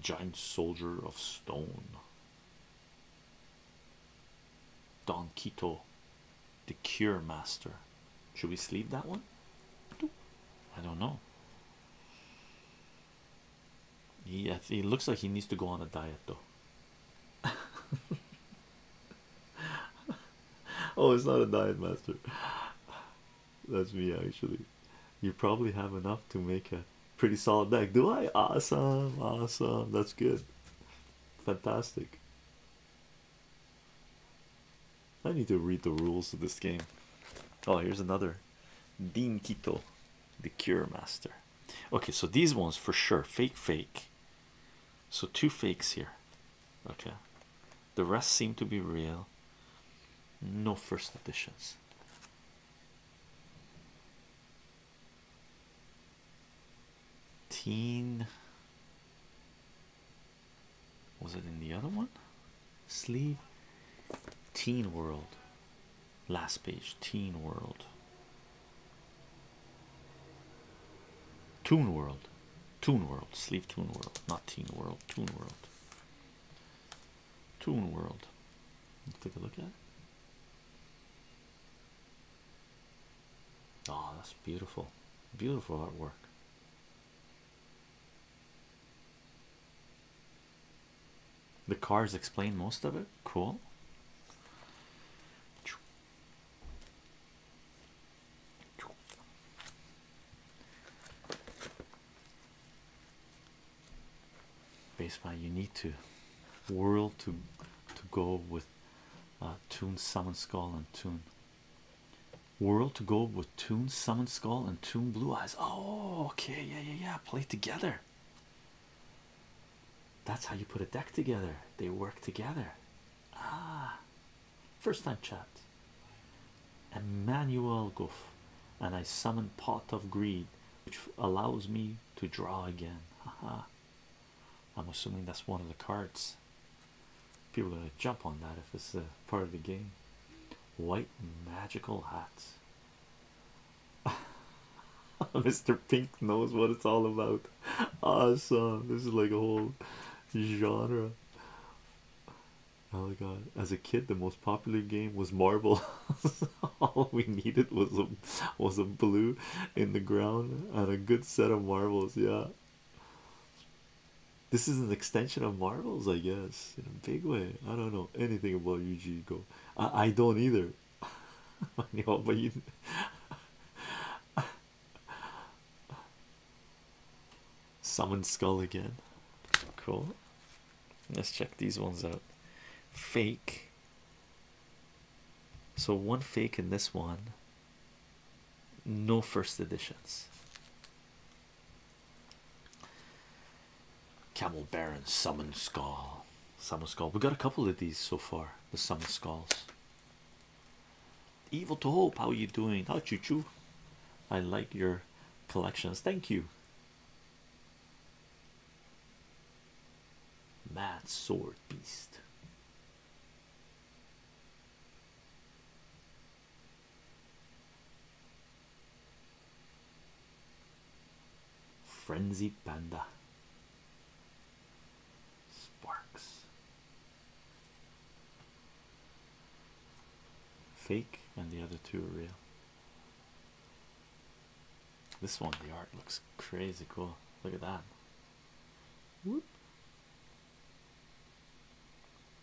S1: Giant soldier of stone. Don Quito the Cure Master. Should we sleep that one? I don't know. He, he looks like he needs to go on a diet though. oh, it's not a diet, Master. That's me actually. You probably have enough to make a pretty solid deck. Do I? Awesome, awesome. That's good. Fantastic. I need to read the rules of this game. Oh, here's another Dean Quito, the cure master. Okay, so these ones for sure fake, fake. So, two fakes here. Okay, the rest seem to be real. No first editions. Teen was it in the other one? Sleeve Teen World. Last page Teen World. Tune World. Tune World. Sleeve tune World. Not Teen World. Tune World. Tune World. Let's take a look at it. Oh, that's beautiful, beautiful artwork. The cars explain most of it. Cool. Base by you need to whirl to to go with uh, tune summon skull and tune World to go with Toon Summon Skull and Toon Blue Eyes. Oh, okay, yeah, yeah, yeah. Play together. That's how you put a deck together. They work together. Ah, first time chat. Emmanuel Goof, and I summon Pot of Greed, which allows me to draw again. Haha. I'm assuming that's one of the cards. People are gonna jump on that if it's a part of the game. White magical hats. Mr. Pink knows what it's all about. Awesome. This is like a whole genre. Oh my god. As a kid the most popular game was marble. all we needed was a was a blue in the ground and a good set of marbles, yeah. This is an extension of Marvel's, I guess, in a big way. I don't know anything about UG Go. I, I don't either. I Summon skull again. Cool. Let's check these ones out. Fake. So one fake in this one no first editions. Camel Baron Summon Skull. Summon Skull. We got a couple of these so far. The Summon Skulls. Evil to Hope. How are you doing? How choo choo? I like your collections. Thank you. Mad Sword Beast. Frenzy Panda Sparks Fake and the other two are real. This one, the art looks crazy cool. Look at that. Whoop.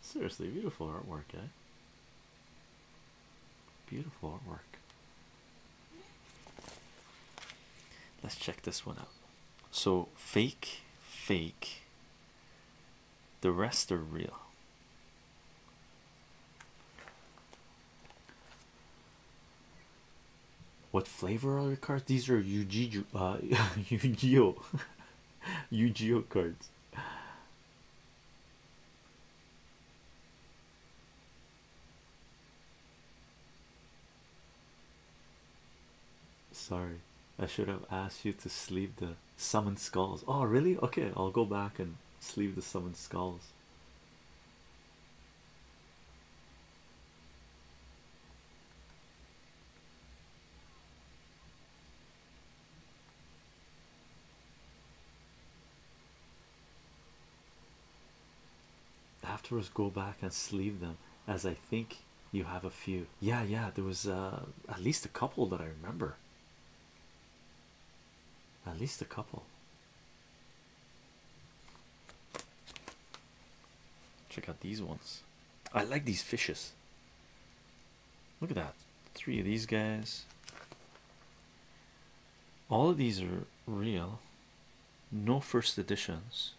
S1: Seriously, beautiful artwork, eh? Beautiful artwork. Let's check this one out. So, fake, fake, the rest are real. What flavor are your cards? These are yu uh, gi yu gi cards. Sorry, I should have asked you to sleeve the summoned skulls. Oh, really? Okay, I'll go back and sleeve the summoned skulls afterwards go back and sleeve them as I think you have a few yeah yeah there was uh, at least a couple that I remember at least a couple check out these ones I like these fishes. Look at that. Three of these guys. All of these are real. No first editions.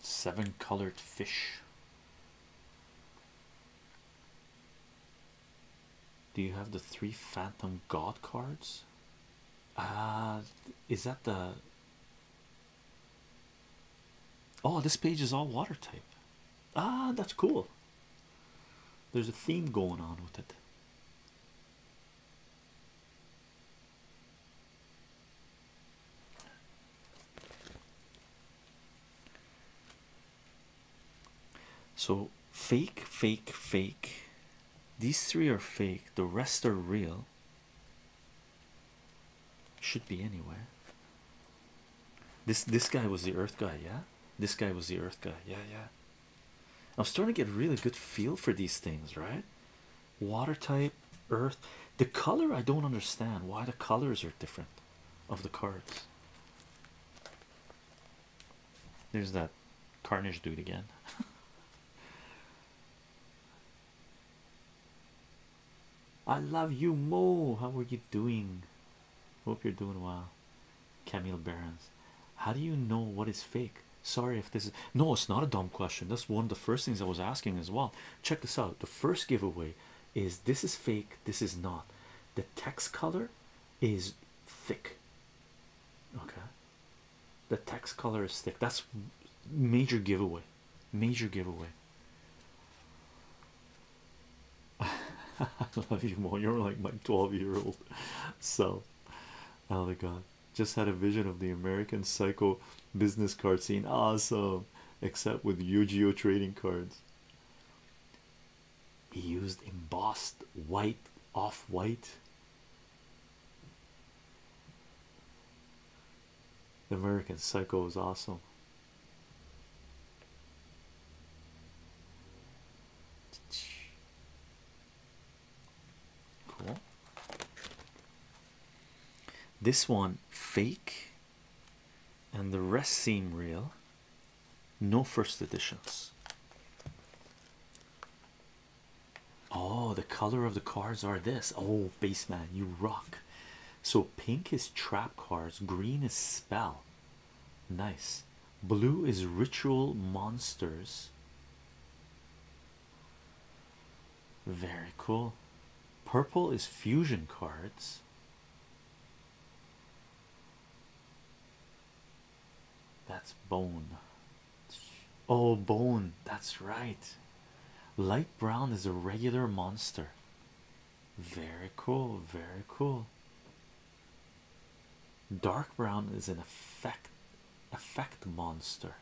S1: Seven colored fish. Do you have the three Phantom God cards? Uh, is that the oh, this page is all water type. Ah, that's cool. There's a theme going on with it. So fake, fake, fake. These three are fake, the rest are real. Should be anyway. This this guy was the earth guy, yeah? This guy was the earth guy, yeah, yeah. I'm starting to get a really good feel for these things, right? Water type, earth. The color I don't understand why the colors are different of the cards. There's that carnage dude again. I love you, Mo. How are you doing? Hope you're doing well. Camille Berens. how do you know what is fake? Sorry if this is no, it's not a dumb question. That's one of the first things I was asking as well. Check this out. The first giveaway is this is fake, this is not. The text color is thick. Okay, the text color is thick. That's major giveaway. Major giveaway. I love you more. You're like my 12 year old self. Oh my god. Just had a vision of the American psycho business card scene. Awesome. Except with Yu Gi Oh! trading cards. He used embossed white off white. The American Psycho is awesome. Cool. This one fake, and the rest seem real no first editions. Oh, the color of the cards are this. Oh, base man, you rock. So, pink is trap cards, green is spell. Nice. Blue is ritual monsters. Very cool. Purple is fusion cards. That's bone. Oh, bone. That's right. Light brown is a regular monster. Very cool. Very cool. Dark brown is an effect effect monster.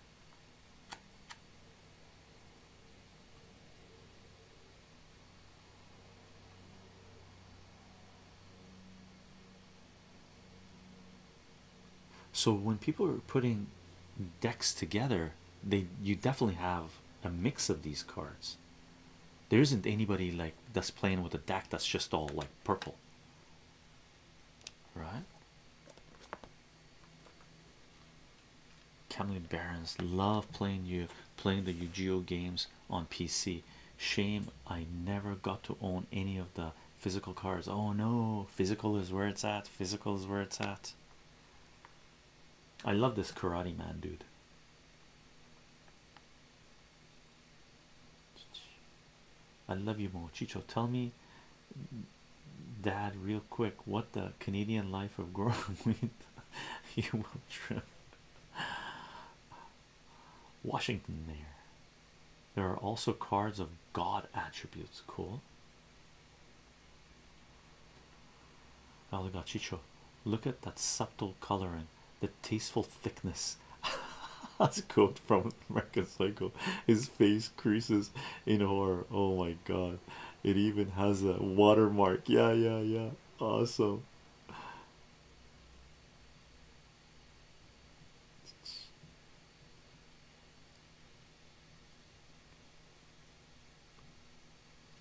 S1: So when people are putting decks together, they you definitely have a mix of these cards. There isn't anybody like that's playing with a deck that's just all like purple, right? Camlin Barons love playing you playing the Yu-Gi-Oh games on PC. Shame I never got to own any of the physical cards. Oh no, physical is where it's at. Physical is where it's at. I love this Karate Man dude. I love you more, Chicho. Tell me, Dad, real quick, what the Canadian life of growing wheat you will trim. Washington there. There are also cards of God attributes. Cool. Chicho, look at that subtle coloring, the tasteful thickness. That's a quote from American His face creases in horror. Oh my god. It even has a watermark. Yeah, yeah, yeah. Awesome.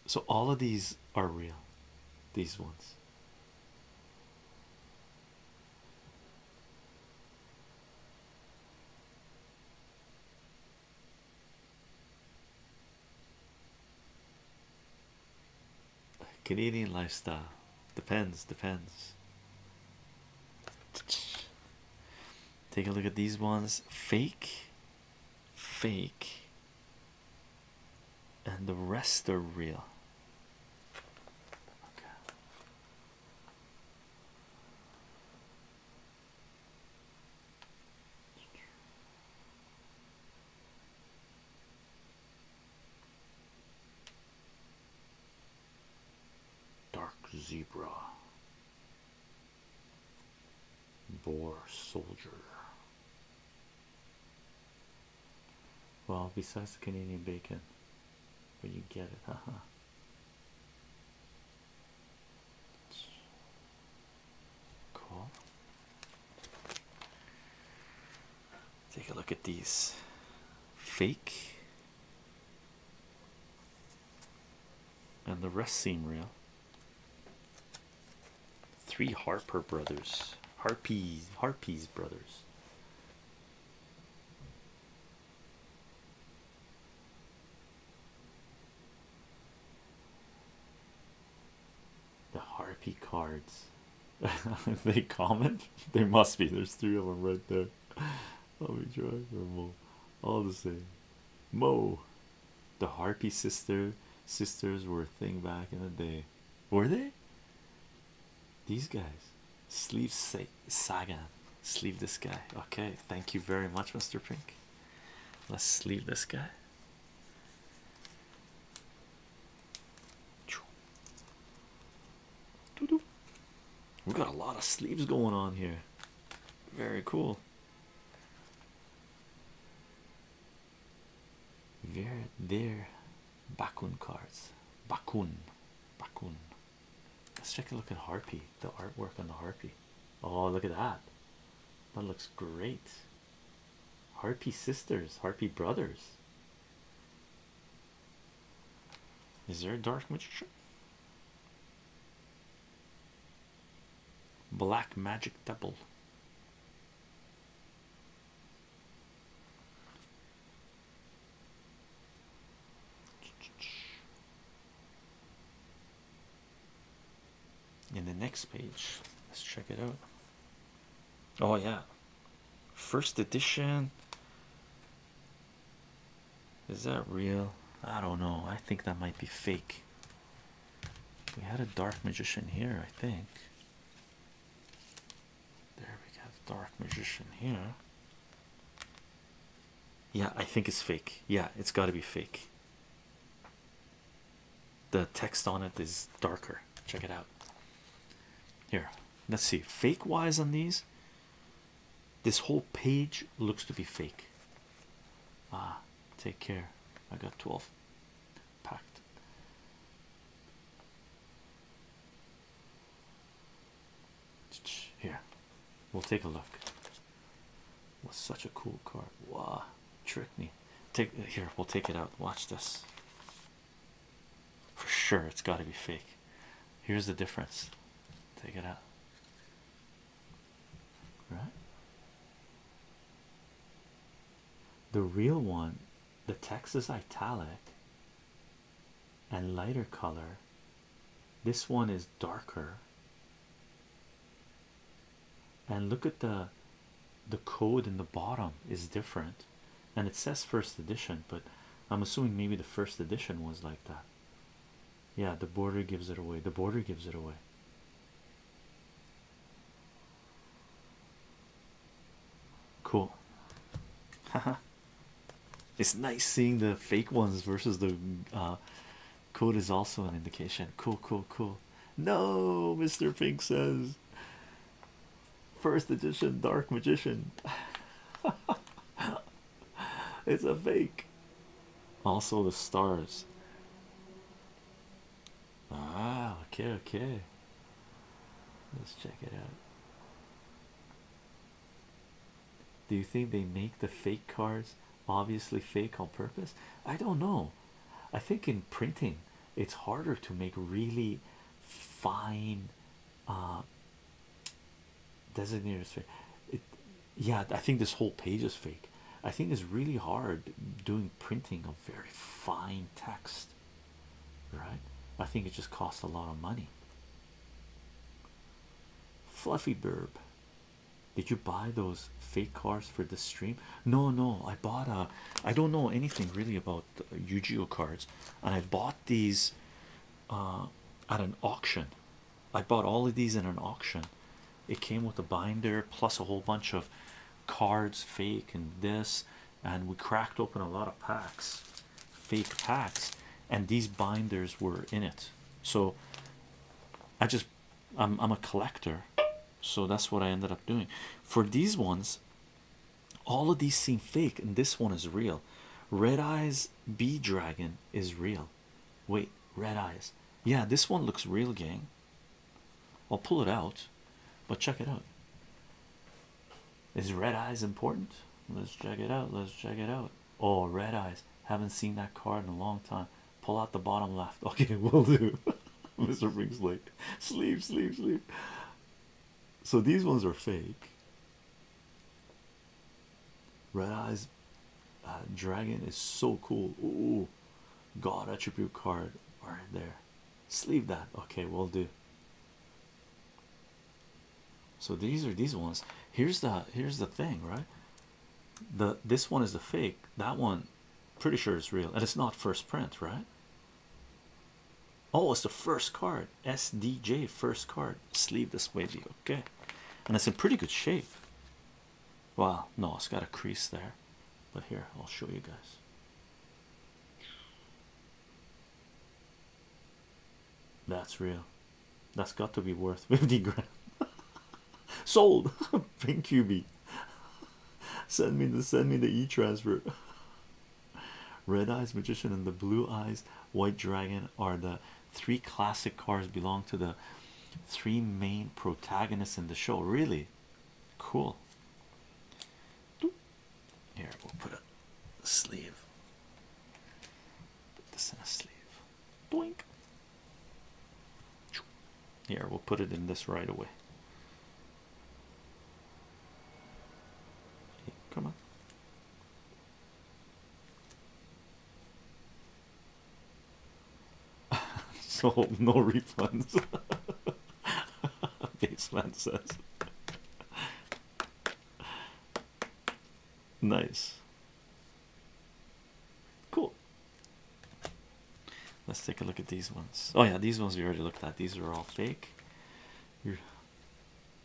S1: So all of these are real, these ones. Canadian lifestyle depends, depends. Take a look at these ones fake, fake, and the rest are real. Dark Zebra, Boar Soldier. Well, besides the Canadian bacon, but you get it, haha. Cool. Take a look at these fake, and the rest seem real. Three Harper brothers, Harpies, Harpies brothers. The harpy cards. if they comment, they must be. There's three of them right there. Let me try for Mo. All the same. Mo. The harpy sister sisters were a thing back in the day. Were they? These guys. Sleeve say Sagan. Sleeve this guy. Okay, thank you very much, Mr. Pink. Let's sleeve this guy. We got a lot of sleeves going on here. Very cool. Very there, Bakun cards. Bakun, Bakun. Let's take a look at Harpy. The artwork on the Harpy. Oh, look at that. That looks great. Harpy sisters, Harpy brothers. Is there a dark magician? Black magic devil. In the next page, let's check it out. Oh, yeah, First edition. Is that real? I don't know. I think that might be fake. We had a dark magician here, I think. There we got dark magician here. Yeah, I think it's fake. Yeah, it's got to be fake the text on it is darker. Check it out. Here, let's see. Fake wise on these. This whole page looks to be fake. Ah, take care. I got 12 packed. Here, we'll take a look. Was such a cool card. Wah! trick me. Take here, we'll take it out. Watch this. For sure, it's got to be fake. Here's the difference. Take it out. Right? The real one, the text is italic and lighter color. This one is darker. And look at the the code in the bottom is different and it says first edition but i'm assuming maybe the first edition was like that yeah the border gives it away the border gives it away cool it's nice seeing the fake ones versus the uh, code is also an indication cool cool cool no mr pink says First edition Dark Magician. it's a fake. Also, the stars. Ah, okay, okay. Let's check it out. Do you think they make the fake cards obviously fake on purpose? I don't know. I think in printing it's harder to make really fine uh, designated it yeah i think this whole page is fake i think it's really hard doing printing of very fine text right i think it just costs a lot of money fluffy burb did you buy those fake cars for the stream no no i bought a i don't know anything really about Yu-Gi-Oh cards, and I bought these uh, at an auction. I bought all of these in an auction. It came with a binder plus a whole bunch of cards, fake and this, and we cracked open a lot of packs, fake packs, and these binders were in it. So I just I'm I'm a collector, so that's what I ended up doing. For these ones, all of these seem fake and this one is real red eyes bee dragon is real wait red eyes yeah this one looks real gang i'll pull it out but check it out is red eyes important let's check it out let's check it out oh red eyes haven't seen that card in a long time pull out the bottom left okay we'll do mr brings sleep sleep sleep so these ones are fake. Red Eyes uh, Dragon is so cool. Ooh, God attribute card right there. Sleeve that. Okay, we'll do. So these are these ones. Here's the here's the thing, right? The this one is the fake. That one, pretty sure is real, and it's not first print, right? Oh, it's the first card. SDJ first card. Sleeve this baby. Okay. And it's in pretty good shape. Wow, no, it's got a crease there. But here, I'll show you guys. That's real. That's got to be worth 50 grand. Sold. Bring QB. Send me the send me the e-transfer. Red Eyes Magician and the Blue Eyes White Dragon are the three classic cars belong to the three main protagonists in the show. Really cool. Here we'll put a sleeve. Put this in a sleeve. Blink. Here we'll put it in this right away come on. so no refunds. Baseland says. nice. Cool. Let's take a look at these ones. Oh yeah, these ones we already looked at. These are all fake.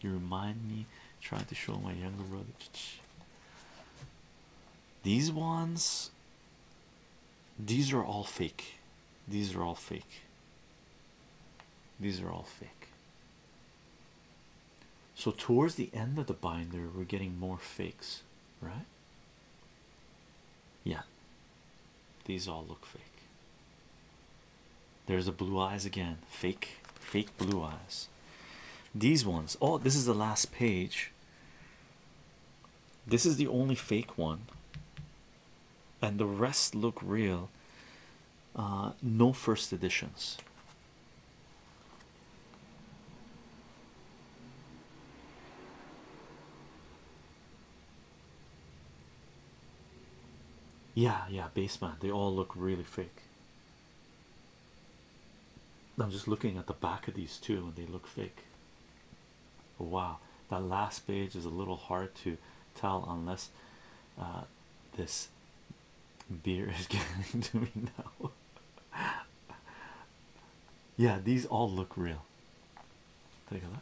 S1: You remind me trying to show my younger brother. These ones, these are all fake. These are all fake. These are all fake. So, towards the end of the binder, we're getting more fakes, right? Yeah, these all look fake. There's the blue eyes again. Fake, fake blue eyes. These ones. Oh, this is the last page. This is the only fake one, and the rest look real. Uh, no first editions. Yeah, yeah, basement. They all look really fake. I'm just looking at the back of these two and they look fake. Wow, that last page is a little hard to tell unless uh, this beer is getting to me now. yeah, these all look real. Take a look.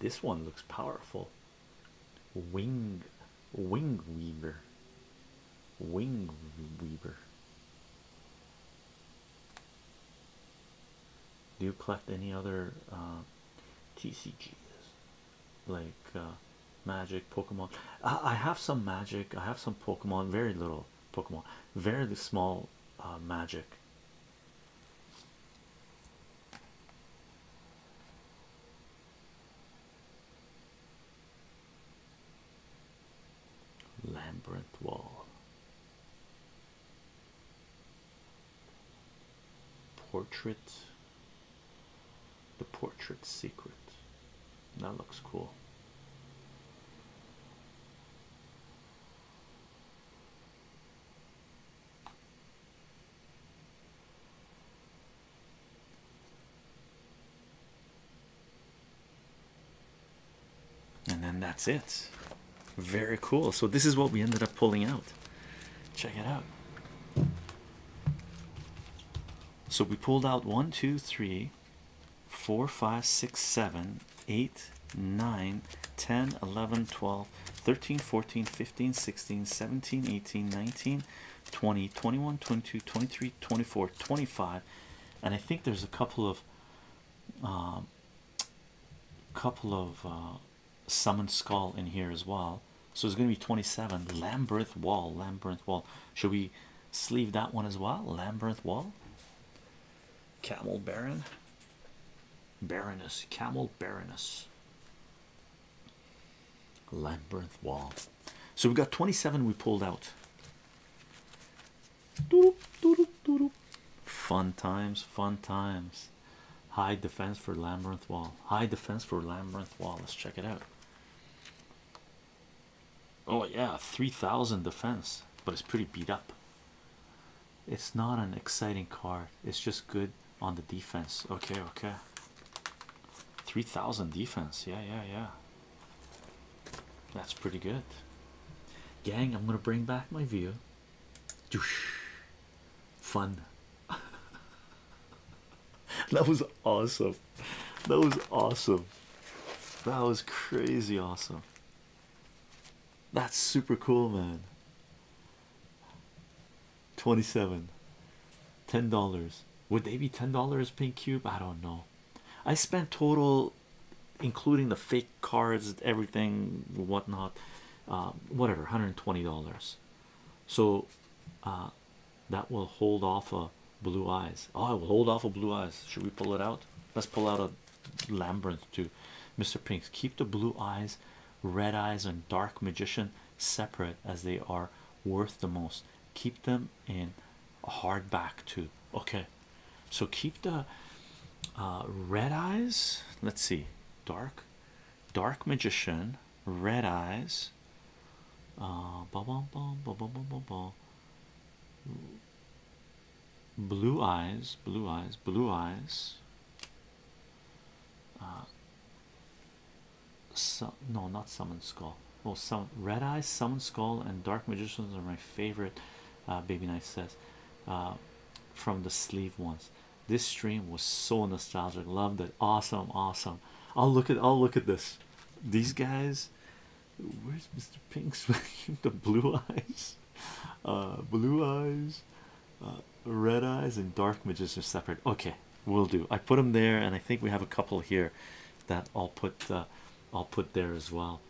S1: This one looks powerful. Wing wing weaver. Wing weaver. Do you collect any other uh, TCGs like uh, Magic, Pokemon? I, have some Magic, I have some Pokemon, very little Pokemon, very small uh, Magic. Lambert Wall. Portrait. The Portrait Secret. That looks cool and then that's it. Very cool. So, this is what we ended up pulling out. Check it out. So, we pulled out one, two, three, four, five, six, seven, eight, nine, ten, eleven, twelve, thirteen, fourteen, fifteen, sixteen, seventeen, eighteen, nineteen, twenty, twenty-one, twenty-two, twenty-three, twenty-four, twenty-five, And I think there's a couple of a um, couple of uh, summon skull in here as well. So it's going to be 27. Lambert Wall, Lambert Wall. Should we sleeve that one as well? Lambert Wall, Camel Baron, Baroness, Camel Baroness, Lambert Wall. So we've got 27 we pulled out. Fun times, fun times. High defense for Labyrinth Wall. High defense for Labyrinth Wall. Let's check it out. Oh, yeah, 3000 defense, but it's pretty beat up. It's not an exciting card, it's just good on the defense. Okay, okay. 3000 defense. Yeah, yeah, yeah. That's pretty good, gang. I'm gonna bring back my view. Doosh. Fun. that was awesome. That was awesome. That was crazy awesome. That's super cool, man. 27 $10. Would they be $10 pink cube? I don't know. I spent total, including the fake cards, everything, whatnot, um, whatever, one hundred twenty dollars. So uh, that will hold off a blue eyes. Oh, I will hold off a blue eyes. Should we pull it out? Let's pull out a Lambent too, Mr. Pinks. Keep the blue eyes, red eyes, and dark magician separate as they are worth the most. Keep them in hardback too. Okay, so keep the uh, red eyes let's see dark dark magician red eyes uh, bah, bah, bah, bah, bah, bah, blue eyes blue eyes blue eyes uh, no not summon skull well some red eyes summon skull and dark magicians are my favorite Ah, baby night says ah, from the sleeve ones this stream was so nostalgic loved it awesome awesome i'll look at i'll look at this these guys where's mr pink's with the blue eyes uh, blue eyes uh, red eyes and dark magician separate okay we'll do i put them there and i think we have a couple here that i'll put uh, i'll put there as well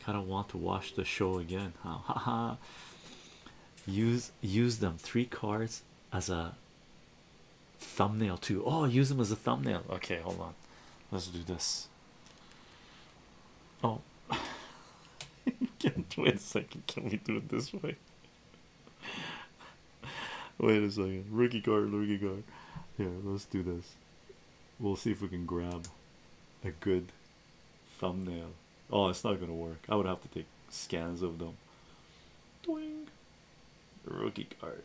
S1: kind of want to watch the show again use use them three cards as a thumbnail too oh use them as a thumbnail okay hold on let's do this oh can't wait a second can we do it this way wait a second rookie card rookie card yeah let's do this We'll see if we can grab a good thumbnail. Oh, it's not gonna work. I would have to take scans of them. Doing rookie card.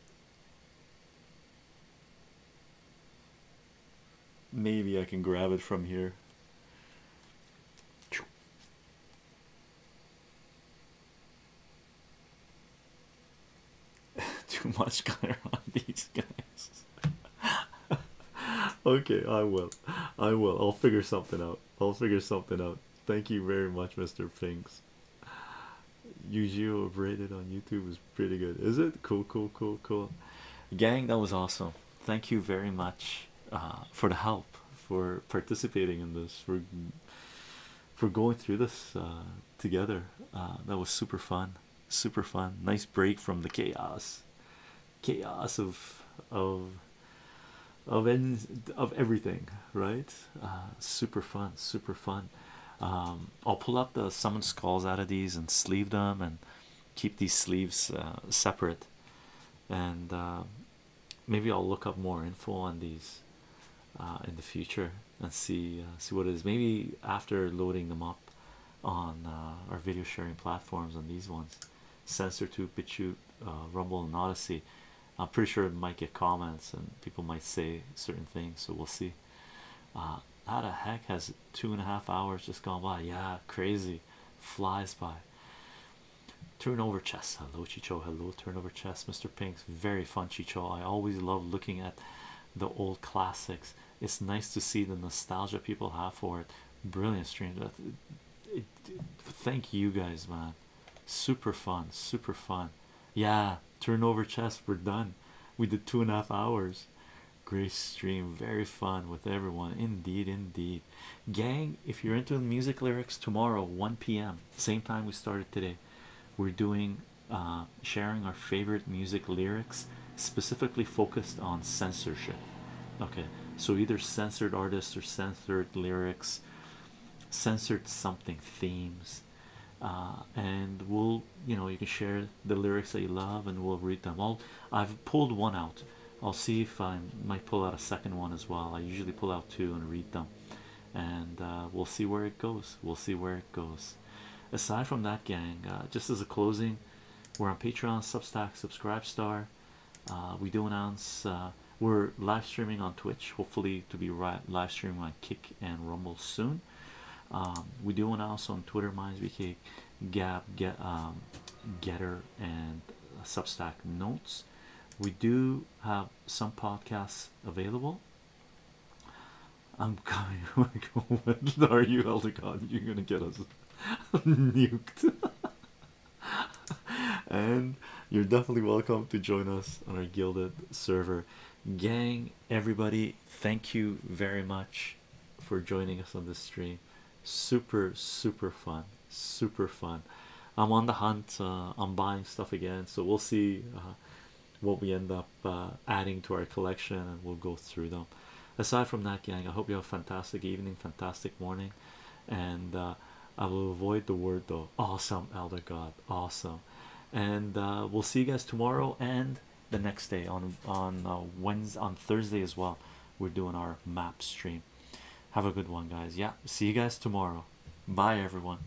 S1: Maybe I can grab it from here. Too much color on these guys. okay, I will. I will. I'll figure something out. I'll figure something out. Thank you very much, Mr. Pinks. yu gi on YouTube is pretty good. Is it? Cool, cool, cool, cool. Gang, that was awesome. Thank you very much uh, for the help, for participating in this, for for going through this uh, together. Uh, that was super fun super fun nice break from the chaos chaos of of of any, of everything right uh, super fun super fun um, I'll pull up the summoned skulls out of these and sleeve them and keep these sleeves uh, separate and uh, maybe I'll look up more info on these in the future and see see what it is maybe after loading them up on uh, our video sharing platforms on these ones censor to BitChute, uh, rumble and odyssey i'm pretty sure it might get comments and people might say certain things so we'll see uh, how the heck has two and a half hours just gone by yeah crazy flies by turnover chess hello chicho hello turnover chess mr pinks very fun chicho i always love looking at the old classics it's nice to see the nostalgia people have for it. Brilliant stream. thank you guys, man. Super fun, super fun. Yeah, turnover chess, We're done. We did two and a half hours. Great stream, very fun with everyone. Indeed, indeed. Gang, if you're into music lyrics, tomorrow 1 p.m. Same time we started today. We're doing uh, sharing our favorite music lyrics specifically focused on censorship. Okay, so either censored artists or censored lyrics, censored something themes, uh, and we'll you know you can share the lyrics that you love and we'll read them. All I've pulled one out. I'll see if I might pull out a second one as well. I usually pull out two and read them, and uh, we'll see where it goes. We'll see where it goes. Aside from that, gang, uh, just as a closing. We're on Patreon, Substack, Subscribestar. Uh, we do announce uh, we're live streaming on Twitch. Hopefully, to be right live streaming on Kick and Rumble soon. Um, we do announce on Twitter, Minds MindsBK, Gab, Get, um, Getter, and Substack Notes. We do have some podcasts available. I'm coming. Are you, Elder You're gonna get us nuked. and you're definitely welcome to join us on our gilded server, gang. Everybody, thank you very much for joining us on this stream. Super, super fun, super fun. I'm on the hunt, uh, I'm buying stuff again, so we'll see uh, what we end up uh, adding to our collection and we'll go through them aside from that Yang, i hope you have a fantastic evening fantastic morning and uh, i will avoid the word though awesome elder god awesome and uh, we'll see you guys tomorrow and the next day on on uh, wednesday on thursday as well we're doing our map stream have a good one guys yeah see you guys tomorrow bye everyone